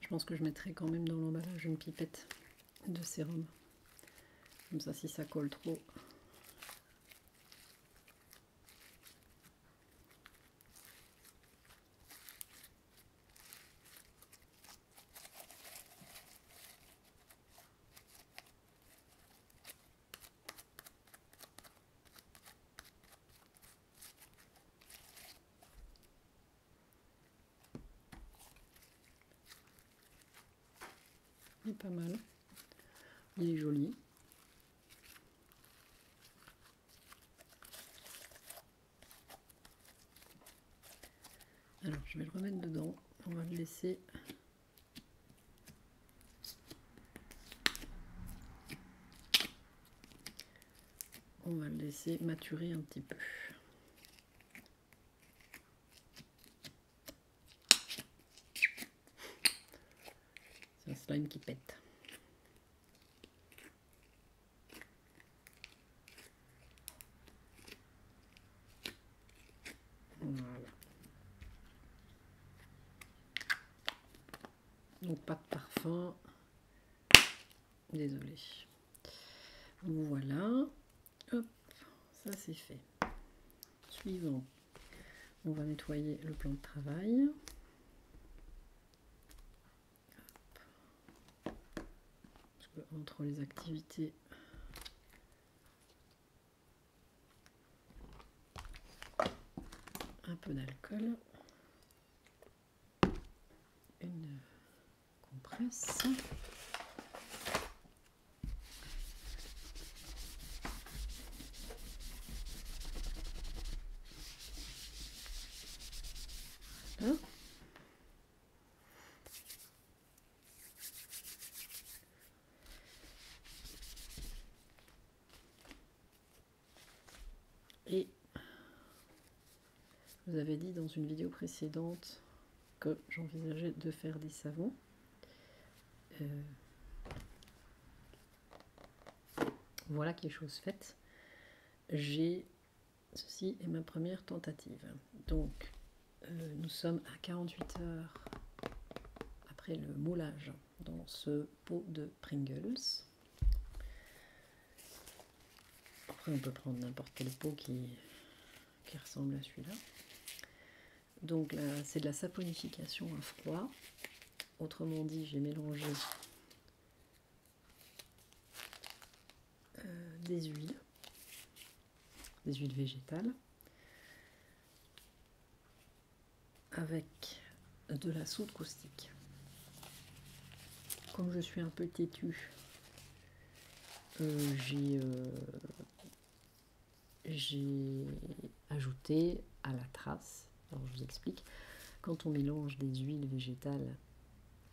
je pense que je mettrai quand même dans l'emballage une pipette de sérum. Comme ça, si ça colle trop, il est pas mal. Il est joli. Alors, je vais le remettre dedans. On va le laisser. On va le laisser maturer un petit peu. C'est un slime qui pète. Donc pas de parfum. Désolé. Voilà. ça c'est fait. Suivant. On va nettoyer le plan de travail entre les activités. Un peu d'alcool. Une compresse. Et vous avez dit dans une vidéo précédente que j'envisageais de faire des savons. Euh, voilà qui est chose faite. ceci est ma première tentative. Donc euh, nous sommes à 48 heures après le moulage dans ce pot de Pringles. Après, on peut prendre n'importe quel pot qui, ressemble à celui-là. Donc là, c'est de la saponification à froid. Autrement dit, j'ai mélangé euh, des huiles des huiles végétales avec de la soude caustique. Comme je suis un peu têtu, euh, euh, j'ai ajouté à la trace, alors je vous explique, quand on mélange des huiles végétales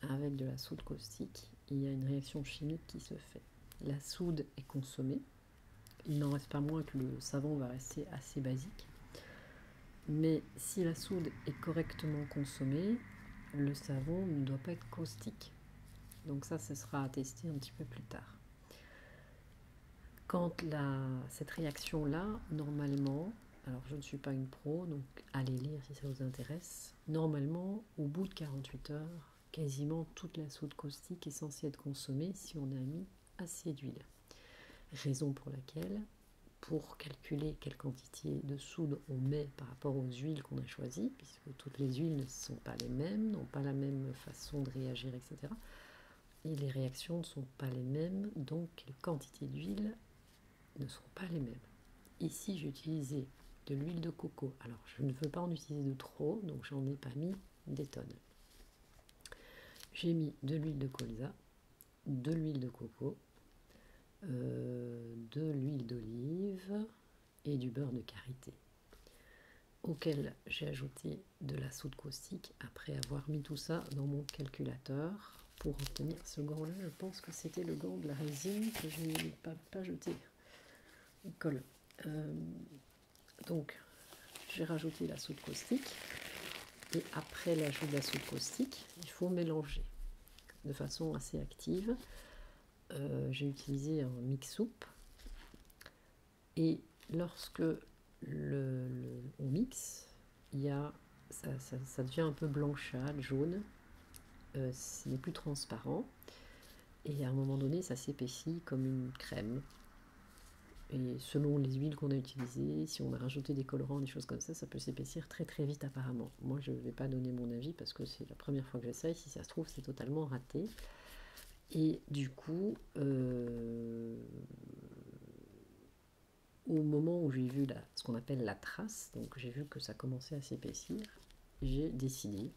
avec de la soude caustique, il y a une réaction chimique qui se fait. La soude est consommée. Il n'en reste pas moins que le savon va rester assez basique. Mais si la soude est correctement consommée, le savon ne doit pas être caustique. Donc ça, ce sera à tester un petit peu plus tard. Quand la, cette réaction-là, normalement, alors je ne suis pas une pro, donc allez lire si ça vous intéresse, normalement, au bout de 48 heures, Quasiment toute la soude caustique est censée être consommée si on a mis assez d'huile. Raison pour laquelle, pour calculer quelle quantité de soude on met par rapport aux huiles qu'on a choisies, puisque toutes les huiles ne sont pas les mêmes, n'ont pas la même façon de réagir, etc. Et les réactions ne sont pas les mêmes, donc les quantités d'huile ne seront pas les mêmes. Ici, j'ai utilisé de l'huile de coco. Alors, je ne veux pas en utiliser de trop, donc j'en ai pas mis des tonnes. J'ai mis de l'huile de colza, de l'huile de coco, euh, de l'huile d'olive et du beurre de karité, auquel j'ai ajouté de la soude caustique après avoir mis tout ça dans mon calculateur pour obtenir ce gant-là. Je pense que c'était le gant de la résine que je n'ai pas, pas jeté. Euh, donc, j'ai rajouté la soupe caustique. Et après l'ajout de la soupe caustique, il faut mélanger de façon assez active. Euh, j'ai utilisé un mix soupe. Et lorsque on mixe, il ça, devient un peu blanchâtre, jaune. Euh, c'est plus transparent. Et à un moment donné, ça s'épaissit comme une crème. Et selon les huiles qu'on a utilisées, si on a rajouté des colorants, des choses comme ça, ça peut s'épaissir très très vite apparemment. Moi, je ne vais pas donner mon avis parce que c'est la première fois que j'essaye. Si ça se trouve, c'est totalement raté. Et du coup, euh, au moment où j'ai vu ce qu'on appelle la trace, donc j'ai vu que ça commençait à s'épaissir, j'ai décidé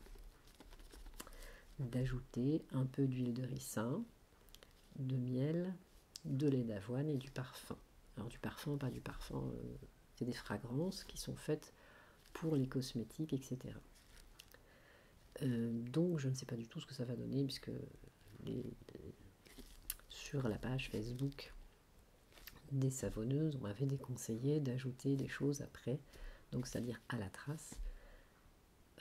d'ajouter un peu d'huile de ricin, de miel, de lait d'avoine et du parfum. Alors du parfum, pas du parfum, euh, c'est des fragrances qui sont faites pour les cosmétiques, etc. Euh, donc je ne sais pas du tout ce que ça va donner puisque sur la page Facebook des savonneuses, on m'avait déconseillé d'ajouter des choses après. Donc c'est-à-dire à la trace,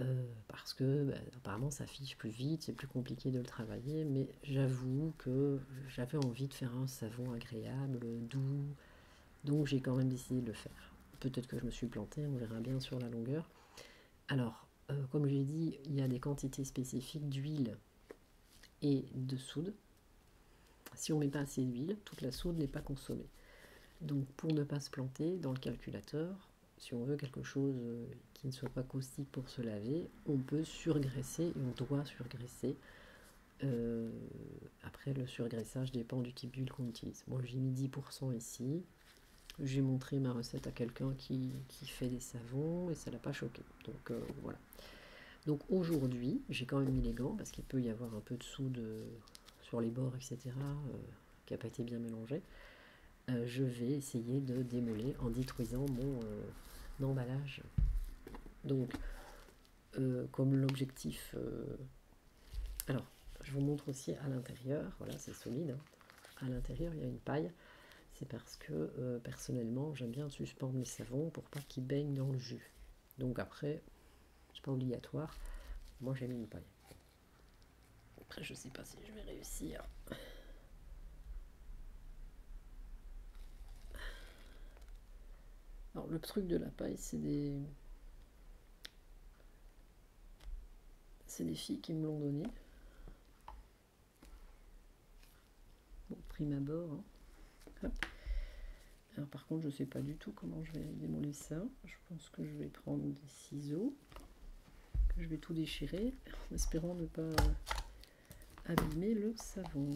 euh, parce que ben, apparemment ça fiche plus vite, c'est plus compliqué de le travailler, mais j'avoue que j'avais envie de faire un savon agréable, doux, donc j'ai quand même décidé de le faire. Peut-être que je me suis plantée, on verra bien sur la longueur. Alors, euh, comme je l'ai dit, il y a des quantités spécifiques d'huile et de soude. Si on ne met pas assez d'huile, toute la soude n'est pas consommée. Donc pour ne pas se planter dans le calculateur, si on veut quelque chose euh, qui ne soit pas caustique pour se laver, on peut surgraisser et on doit surgraisser. Euh, après, le surgraissage dépend du type d'huile qu'on utilise. Moi, j'ai mis 10% ici. J'ai montré ma recette à quelqu'un qui, fait des savons et ça l'a pas choqué. Donc euh, voilà. Donc aujourd'hui, j'ai quand même mis les gants parce qu'il peut y avoir un peu de soude sur les bords, etc., euh, qui n'a pas été bien mélangé, euh, je vais essayer de démêler en détruisant mon euh, emballage. Donc, comme l'objectif... Alors, je vous montre aussi à l'intérieur, voilà, c'est solide. Hein. À l'intérieur, il y a une paille. C'est parce que, personnellement, j'aime bien suspendre mes savons pour pas qu'ils baignent dans le jus. Donc après, c'est pas obligatoire. Moi j'ai mis une paille. Après je sais pas si je vais réussir. Alors le truc de la paille, c'est des. C'est des filles qui me l'ont donné. Bon, prime abord. Hein par contre, je sais pas du tout comment je vais démolir ça. Je pense que je vais prendre des ciseaux, que je vais tout déchirer, en espérant ne pas abîmer le savon.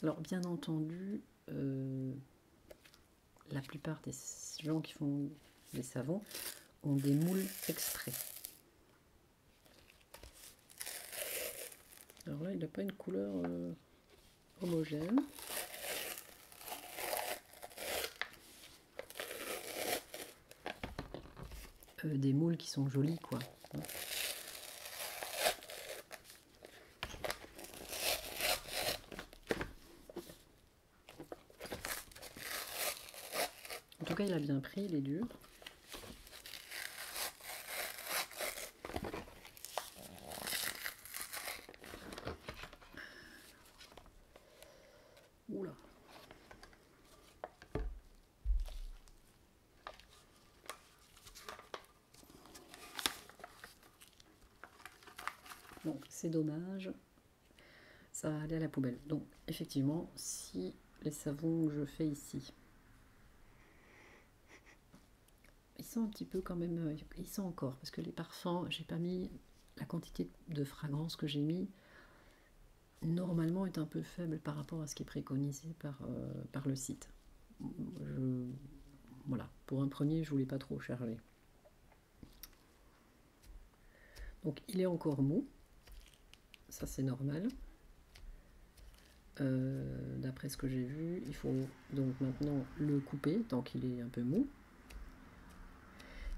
Alors bien entendu, euh, la plupart des gens qui font des savons ont des moules extraits. Alors là, il n'a pas une couleur euh, homogène. Euh, des moules qui sont jolis, quoi. En tout cas, il a bien pris, il est dur. Oula. Bon, c'est dommage ça va aller à la poubelle. Donc effectivement, si les savons que je fais ici, ils sont un petit peu quand même, euh, ils sont encore, parce que les parfums, j'ai pas mis la quantité de fragrance que j'ai mis, normalement est un peu faible par rapport à ce qui est préconisé par, euh, par le site. voilà, pour un premier, je voulais pas trop charger. Donc il est encore mou, ça c'est normal. Euh, d'après ce que j'ai vu, il faut donc maintenant le couper tant qu'il est un peu mou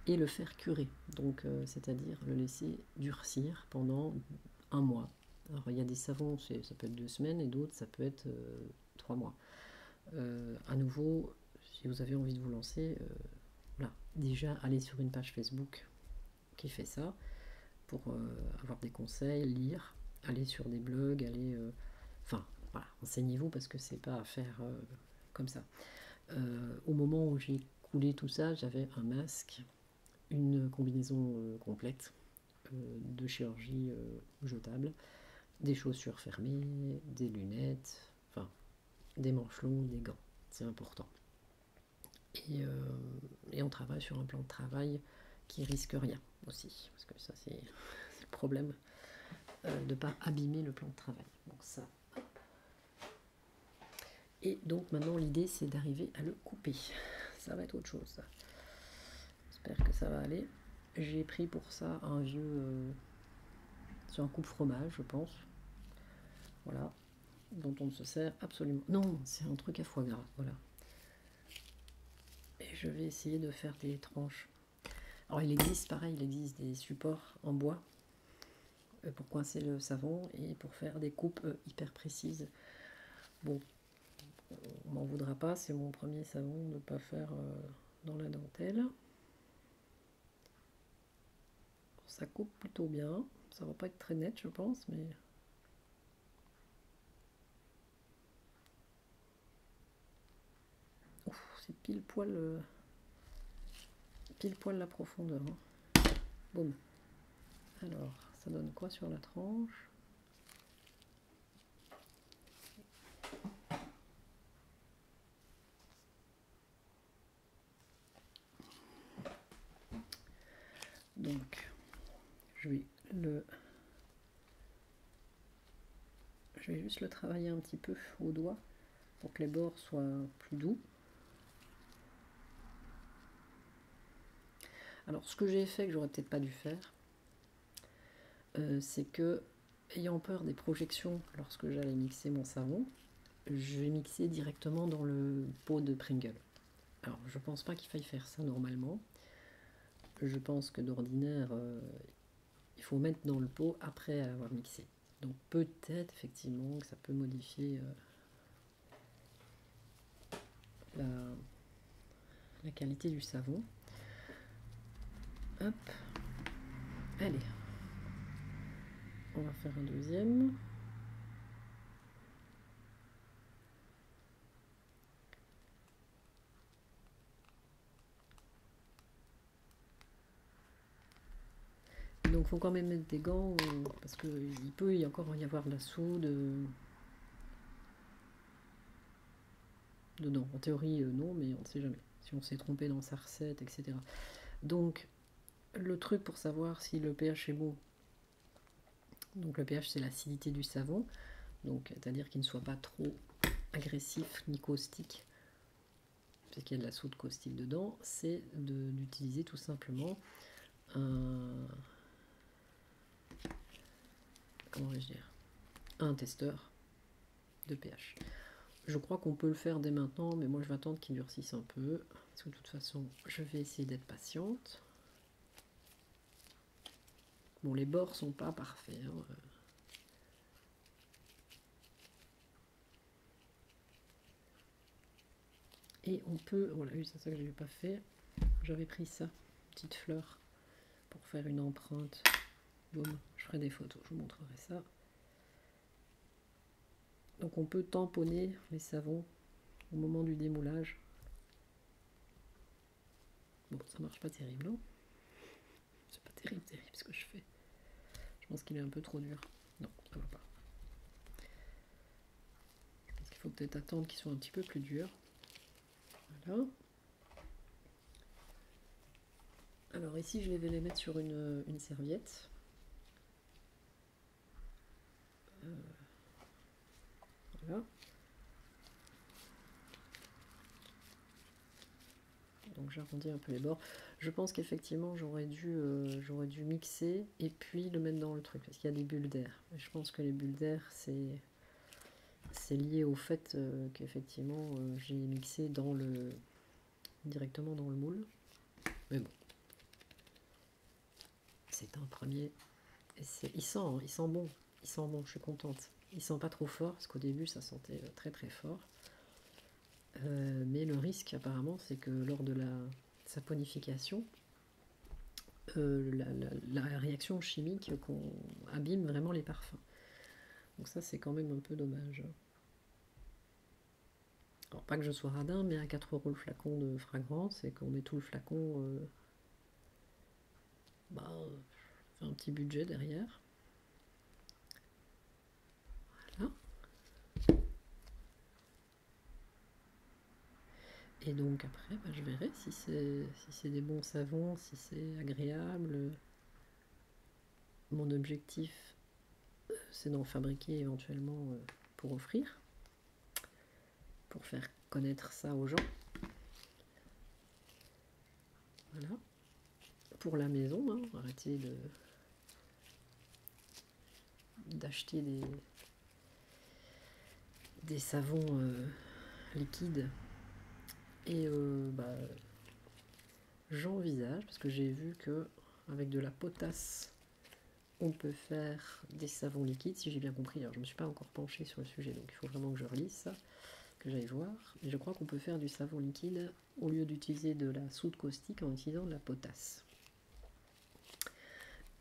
et le faire curer, donc euh, c'est-à-dire le laisser durcir pendant un mois. Alors il y a des savons, ça peut être deux semaines et d'autres ça peut être euh, trois mois. Euh, à nouveau, si vous avez envie de vous lancer, euh, déjà allez sur une page Facebook qui fait ça pour euh, avoir des conseils, lire, aller sur des blogs, aller. Enfin, voilà, enseignez-vous parce que c'est pas à faire comme ça. au moment où j'ai coulé tout ça, j'avais un masque, une combinaison complète de chirurgie jetable, des chaussures fermées, des lunettes, Enfin, des manches des gants, c'est important. Euh, et, on travaille sur un plan de travail qui risque rien aussi, parce que ça c'est le problème euh, de ne pas abîmer le plan de travail. Donc ça. Et donc maintenant l'idée c'est d'arriver à le couper. Ça va être autre chose. J'espère que ça va aller. J'ai pris pour ça un vieux euh, c'est un coupe fromage, je pense. Voilà, dont on ne se sert absolument. Non, c'est un truc à foie gras. Voilà. Et je vais essayer de faire des tranches. Alors, il existe, pareil, il existe des supports en bois euh, pour coincer le savon et pour faire des coupes euh, hyper précises. Bon, on m'en voudra pas, c'est mon premier savon de ne pas faire euh, dans la dentelle. Ça coupe plutôt bien. Ça va pas être très net, je pense, mais... C'est pile poil... Euh, pile poil la profondeur. Hein. Alors, ça donne quoi sur la tranche donc, je vais le... Je vais juste le travailler un petit peu au doigt pour que les bords soient plus doux. Alors, ce que j'ai fait, que j'aurais peut-être pas dû faire, euh, c'est que ayant peur des projections lorsque j'allais mixer mon savon, j'ai mixé directement dans le pot de Pringle. Alors, je pense pas qu'il faille faire ça normalement. Je pense que d'ordinaire, euh, il faut mettre dans le pot après avoir mixé. Donc, peut-être effectivement que ça peut modifier euh, la, qualité du savon. Allez. On va faire un deuxième. Donc faut quand même mettre des gants parce qu'il peut y encore y avoir la soude. Euh, dedans. En théorie, euh, non, mais on ne sait jamais si on s'est trompé dans sa recette, etc. Donc, le truc pour savoir si le pH est bon, donc le pH c'est l'acidité du savon, donc c'est-à-dire qu'il ne soit pas trop agressif ni caustique, parce qu'il y a de la soude caustique dedans, c'est d'utiliser tout simplement un. Comment vais-je dire Un testeur de pH. Je crois qu'on peut le faire dès maintenant, mais moi je vais attendre qu'il durcisse un peu. Parce de toute façon, je vais essayer d'être patiente. Bon, les bords sont pas parfaits. Hein, euh. Et on peut, voilà, oh c'est ça que je pas fait. J'avais pris ça, petite fleur, pour faire une empreinte. Je ferai des photos, je vous montrerai ça. Donc on peut tamponner les savons au moment du démoulage. Bon, ça marche pas terrible, C'est pas terrible, terrible ce que je fais. Je pense qu'il est un peu trop dur. Non, ça va pas. Il qu'il faut peut-être attendre qu'il soit un petit peu plus dur. Voilà. Alors ici, je vais les mettre sur une, serviette. Euh, voilà. Donc j'arrondis un peu les bords. Je pense qu'effectivement, j'aurais dû, euh, j'aurais dû mixer et puis le mettre dans le truc, parce qu'il y a des bulles d'air. Je pense que les bulles d'air, c'est... C'est lié au fait euh, qu'effectivement j'ai mixé dans le directement dans le moule. Mais bon, c'est un premier. Et il sent, il sent bon, il sent bon, je suis contente. Il sent pas trop fort, parce qu'au début ça sentait très très fort. Euh, mais le risque apparemment, c'est que lors de la saponification, euh, la, la, réaction chimique qu'on abîme vraiment les parfums. Donc ça c'est quand même un peu dommage. Alors, pas que je sois radin, mais à 4 euros le flacon de fragrance, et qu'on met tout le flacon, euh, bah, un petit budget derrière. Voilà. Et donc après, bah, je verrai si c'est des bons savons, si c'est agréable. Mon objectif, c'est d'en fabriquer éventuellement euh, pour offrir, pour faire connaître ça aux gens. Voilà. Pour la maison, hein, arrêtez de d'acheter des, des savons euh, liquides et euh, bah, j'envisage, parce que j'ai vu que avec de la potasse, on peut faire des savons liquides, si j'ai bien compris. Alors, je ne me suis pas encore penchée sur le sujet, donc il faut vraiment que je relise ça, que j'aille voir. Mais je crois qu'on peut faire du savon liquide au lieu d'utiliser de la soude caustique en utilisant de la potasse.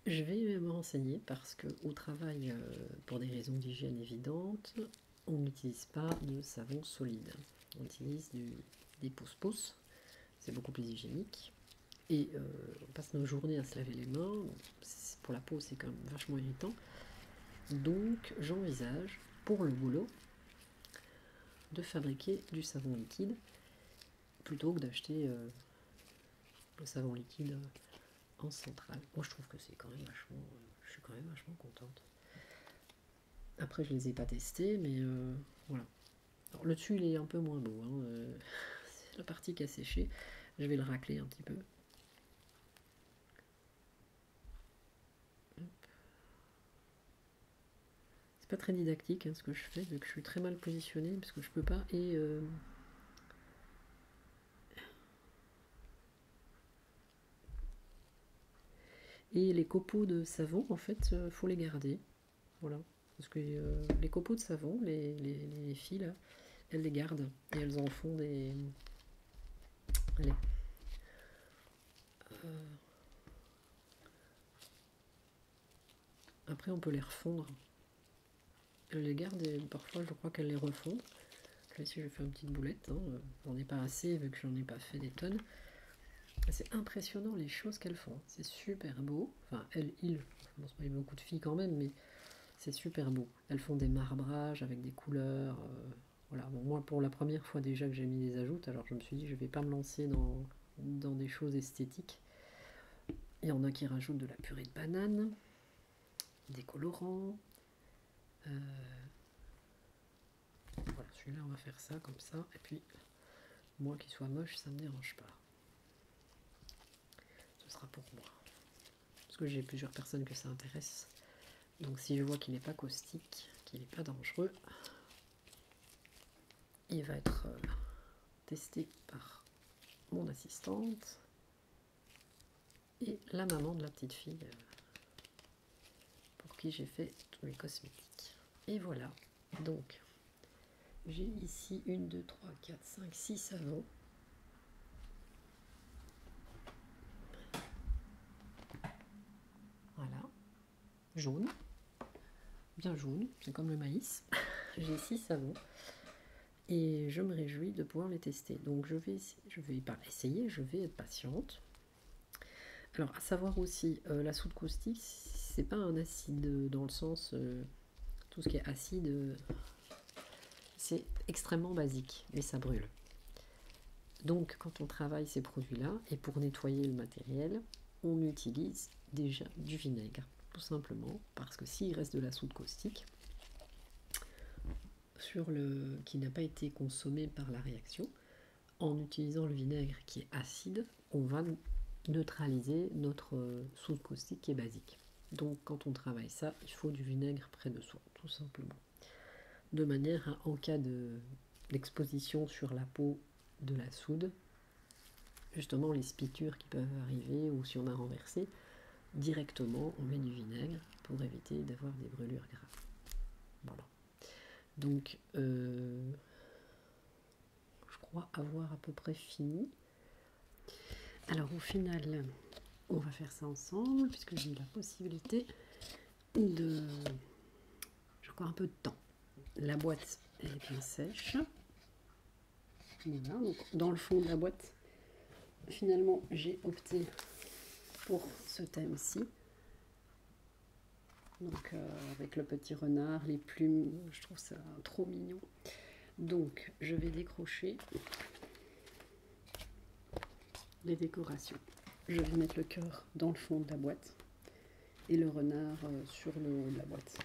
Je vais me renseigner parce que au travail, euh, pour des raisons d'hygiène évidentes, on n'utilise pas de savon solide. On utilise des pousse-pousse c'est beaucoup plus hygiénique. Et euh, on passe nos journées à se laver les mains, pour la peau c'est quand même vachement irritant. Donc j'envisage pour le boulot de fabriquer du savon liquide plutôt que d'acheter euh, le savon liquide euh, en centrale. Moi je trouve que c'est quand même vachement, je suis quand même vachement contente. Après, je les ai pas testés, mais euh, voilà. le dessus, il est un peu moins beau. Hein, euh, c'est la partie qui a séché. Je vais le racler un petit peu. C'est pas très didactique hein, ce que je fais, vu que je suis très mal positionnée parce que je peux pas. Et. Euh, et les copeaux de savon, en fait, faut les garder. Voilà. Parce que euh, les copeaux de savon, les, les, filles, elles les gardent et elles en font des. Euh. Après, on peut les refondre. Elles les gardent et parfois, je crois qu'elles les refondent. Là, si je fais une petite boulette, hein, euh, j'en ai pas assez vu que j'en ai pas fait des tonnes. C'est impressionnant les choses qu'elles font. Hein. C'est super beau. Enfin, elles, ils, je pense pas, il y a beaucoup de filles quand même, mais c'est super beau. Elles font des marbrages avec des couleurs. Euh, voilà. moi, pour la première fois déjà que j'ai mis des ajoutes, alors je me suis dit, je vais pas me lancer dans, dans des choses esthétiques. Il y en a qui rajoutent de la purée de banane, des colorants. Euh, voilà, celui-là, on va faire ça comme ça. Et puis, moi qui soit moche, ça ne me dérange pas. Ce sera pour moi. Parce que j'ai plusieurs personnes que ça intéresse. Donc, si je vois qu'il n'est pas caustique, qu'il n'est pas dangereux, il va être euh, testé par mon assistante et la maman de la petite fille euh, pour qui j'ai fait tous mes cosmétiques. Et voilà. Donc, j'ai ici une, deux, trois, quatre, cinq, six savons. Voilà, jaune, bien jaune, c'est comme le maïs. j'ai six savons et je me réjouis de pouvoir les tester. Donc je vais, je vais pas essayer, je vais être patiente. Alors, à savoir aussi, euh, la soude caustique, c'est pas un acide euh, dans le sens. Euh, tout ce qui est acide, c'est extrêmement basique mais ça brûle. Donc, quand on travaille ces produits-là, et pour nettoyer le matériel, on utilise déjà du vinaigre, tout simplement, parce que s'il reste de la soude caustique, sur qui n'a pas été consommée par la réaction, en utilisant le vinaigre qui est acide, on va neutraliser notre euh, soude caustique qui est basique. Donc quand on travaille ça, il faut du vinaigre près de soi, tout simplement. De manière à, en cas de l'exposition sur la peau de la soude, justement les spitures qui peuvent arriver ou si on a renversé, directement on met du vinaigre pour éviter d'avoir des brûlures graves. Voilà. Donc, euh, je crois avoir à peu près fini. Alors au final, on va faire ça ensemble puisque j'ai eu la possibilité de... J'ai encore un peu de temps. La boîte, elle est bien sèche. donc dans le fond de la boîte, finalement, j'ai opté pour ce thème-ci donc euh, avec le petit renard, les plumes, je trouve ça trop mignon. Donc je vais décrocher les décorations. Je vais mettre le cœur dans le fond de la boîte et le renard euh, sur le haut de la boîte.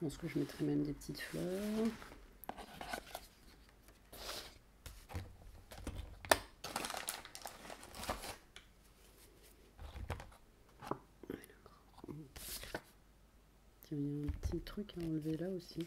Je pense que je mettrai même des petites fleurs il y a un petit truc à enlever là aussi.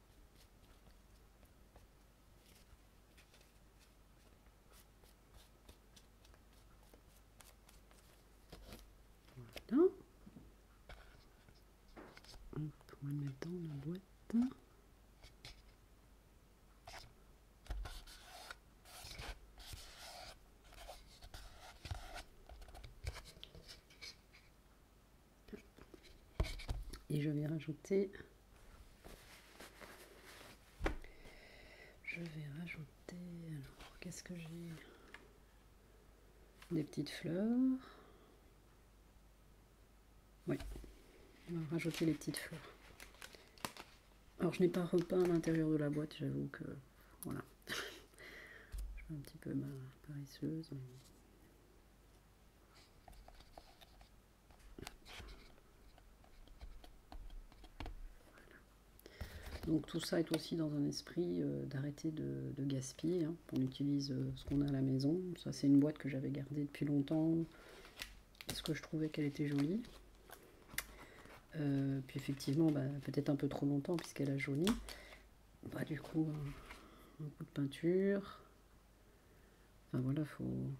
Voilà. On peut le mettre dans la boîte. Et je vais rajouter... Je vais rajouter... Alors, qu'est-ce que j'ai Des petites fleurs. Oui, on va rajouter les petites fleurs. Alors, je n'ai pas repeint l'intérieur de la boîte, j'avoue que... Voilà. je suis un petit peu ma paresseuse. Donc tout ça est aussi dans un esprit euh, d'arrêter de, gaspiller. Hein. On utilise euh, ce qu'on a à la maison. Ça c'est une boîte que j'avais gardée depuis longtemps parce que je trouvais qu'elle était jolie. Euh, puis effectivement, bah, peut-être un peu trop longtemps puisqu'elle a jauni. Bah, du coup, euh, un, coup de peinture. Enfin voilà, faut,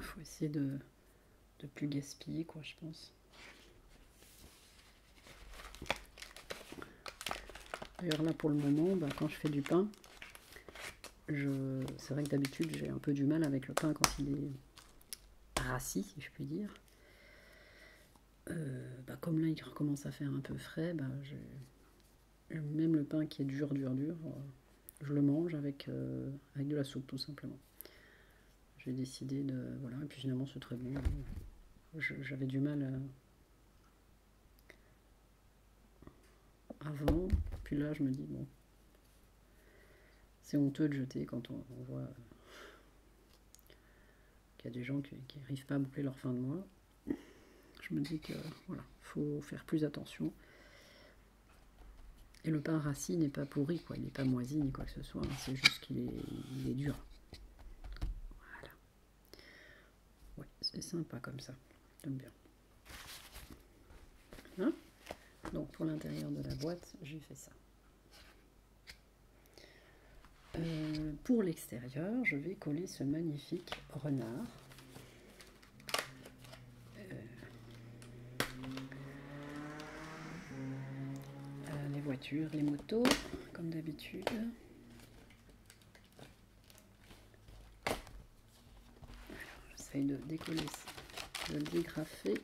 faut essayer de, de plus gaspiller, quoi, je pense. D'ailleurs, là pour le moment, bah, quand je fais du pain, je... c'est vrai que d'habitude j'ai un peu du mal avec le pain quand il est rassis, si je puis dire. Euh, bah comme là il recommence à faire un peu frais, bah, même le pain qui est dur, dur, dur, euh, je le mange avec, euh, avec de la soupe tout simplement. J'ai décidé de. Voilà, et puis finalement c'est très bon. J'avais du mal avant, puis là je me dis, bon, c'est honteux de jeter quand on, on voit qu'il y a des gens qui n'arrivent pas à boucler leur fin de mois. Je me dis que voilà, faut faire plus attention. Et le pain rassis n'est pas pourri, quoi. Il n'est pas moisi ni quoi que ce soit. Hein. C'est juste qu'il est, dur. Voilà. Ouais, c'est sympa comme ça. bien. Hein Donc pour l'intérieur de la boîte, j'ai fait ça. Euh, pour l'extérieur, je vais coller ce magnifique renard. Euh, euh, les voitures, les motos, comme d'habitude. J'essaie de décoller, de le dégrafer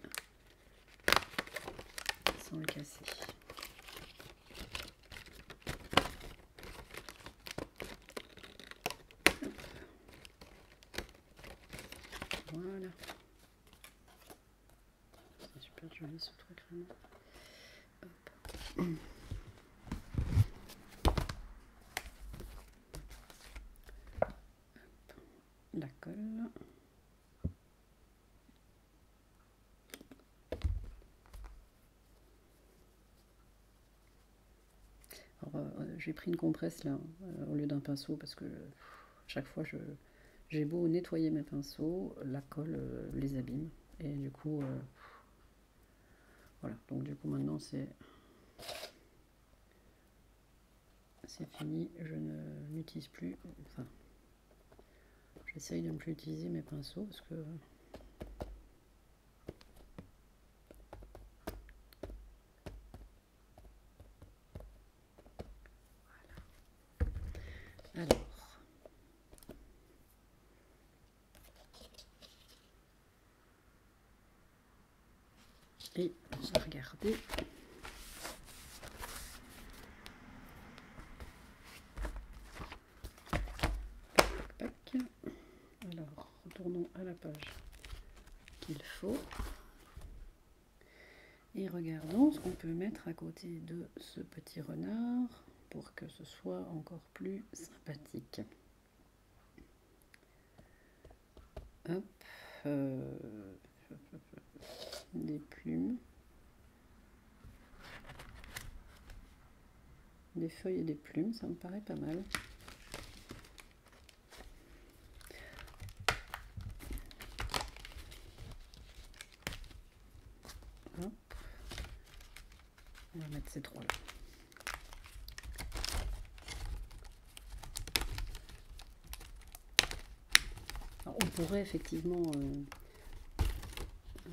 sans le casser. Voilà. C'est super joli ce truc vraiment. Hop. Hop. Alors, euh, euh, j'ai pris une compresse là, euh, au lieu d'un pinceau, parce que chaque fois, je, j'ai beau nettoyer mes pinceaux, la colle les abîme. Et du coup, voilà. Donc du coup, maintenant, c'est... C'est fini, je ne l'utilise plus. J'essaye de ne plus utiliser mes pinceaux parce que alors, et j'ai regarder, alors, retournons à la page qu'il faut. Et regardons ce qu'on peut mettre à côté de ce petit renard pour que ce soit encore plus sympathique. Hop, euh, des plumes. Des feuilles et des plumes, ça me paraît pas mal. On va mettre ces trois là. on pourrait effectivement euh, euh,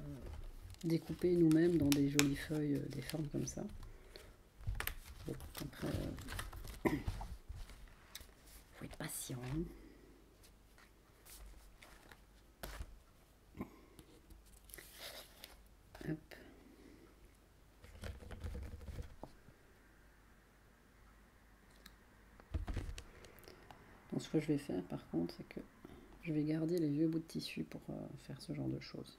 découper nous-mêmes dans des jolies feuilles, euh, des formes comme ça. après, euh, faut être patient. Donc, ce que je vais faire par contre, c'est que je vais garder les vieux bouts de tissu pour euh, faire ce genre de choses.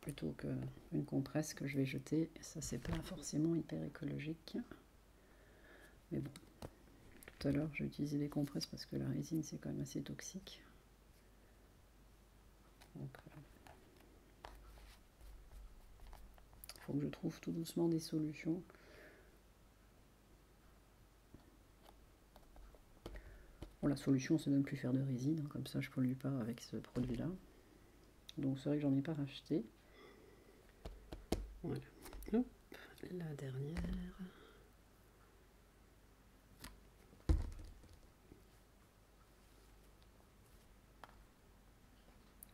Plutôt qu'une compresse que je vais jeter. Ça, c'est pas forcément hyper écologique. Mais bon, tout à l'heure, j'ai utilisé les compresses parce que la résine, c'est quand même assez toxique. Donc, euh, faut que je trouve tout doucement des solutions la solution c'est de ne plus faire de résine, hein, comme ça je pollue pas avec ce produit là. Donc c'est vrai que j'en ai pas racheté. Voilà. Hop, la dernière.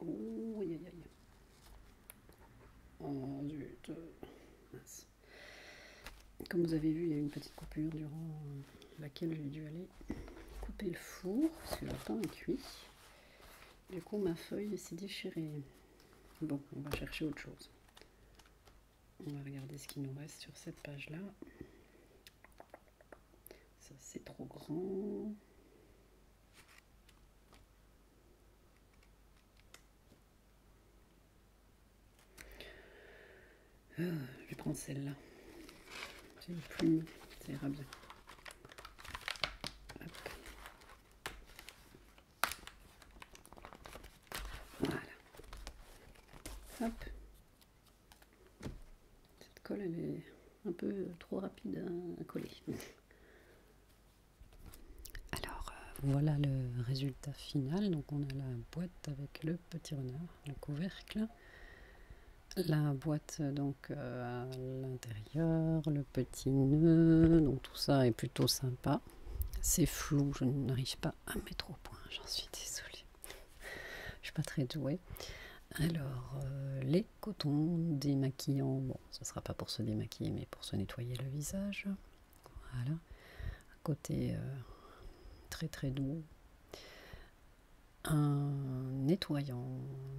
Oh, aïe aïe aïe. Oh zut. Comme vous avez vu, il y a eu une petite coupure durant laquelle j'ai dû aller couper le four, parce que le pain est cuit. Du coup, ma feuille s'est déchirée. Bon, on va chercher autre chose. On va regarder ce qu'il nous reste sur cette page-là. Ça, c'est trop grand. Ah, je vais prendre celle-là. C'est une plume, ça ira bien. Voilà. Hop. Cette colle, elle est un peu trop rapide à coller. Alors euh, voilà le résultat final. Donc on a la boîte avec le petit renard, le couvercle. La boîte donc euh, à l'intérieur, le petit nœud, donc tout ça est plutôt sympa. C'est flou, je n'arrive pas à mettre au point, j'en suis désolée. je suis pas très douée. Alors, euh, les cotons démaquillants, bon, ce sera pas pour se démaquiller, mais pour se nettoyer le visage. Voilà, côté euh, très très doux. Un nettoyant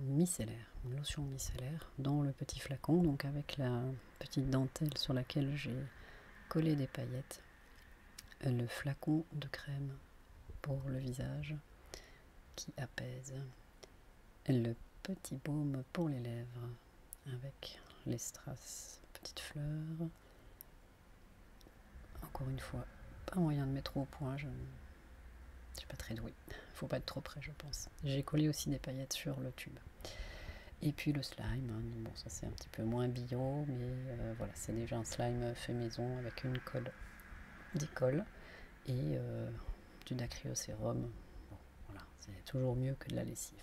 micellaire, une lotion micellaire dans le petit flacon, donc avec la petite dentelle sur laquelle j'ai collé des paillettes. Le flacon de crème pour le visage qui apaise. Le petit baume pour les lèvres avec les strass petites fleurs. Encore une fois, pas moyen de mettre au point, je ne suis pas très douée. Faut pas être trop près, je pense. J'ai collé aussi des paillettes sur le tube. Et puis le slime, hein. bon ça c'est un petit peu moins bio, mais euh, voilà, c'est déjà un slime fait maison avec une colle, des et euh, du dacryocérum. voilà, c'est toujours mieux que de la lessive.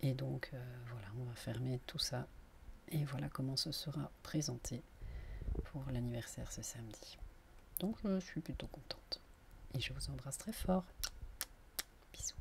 Et donc euh, voilà, on va fermer tout ça. Et voilà comment ce sera présenté pour l'anniversaire ce samedi. Donc je suis plutôt contente. Et je vous embrasse très fort. Bisous.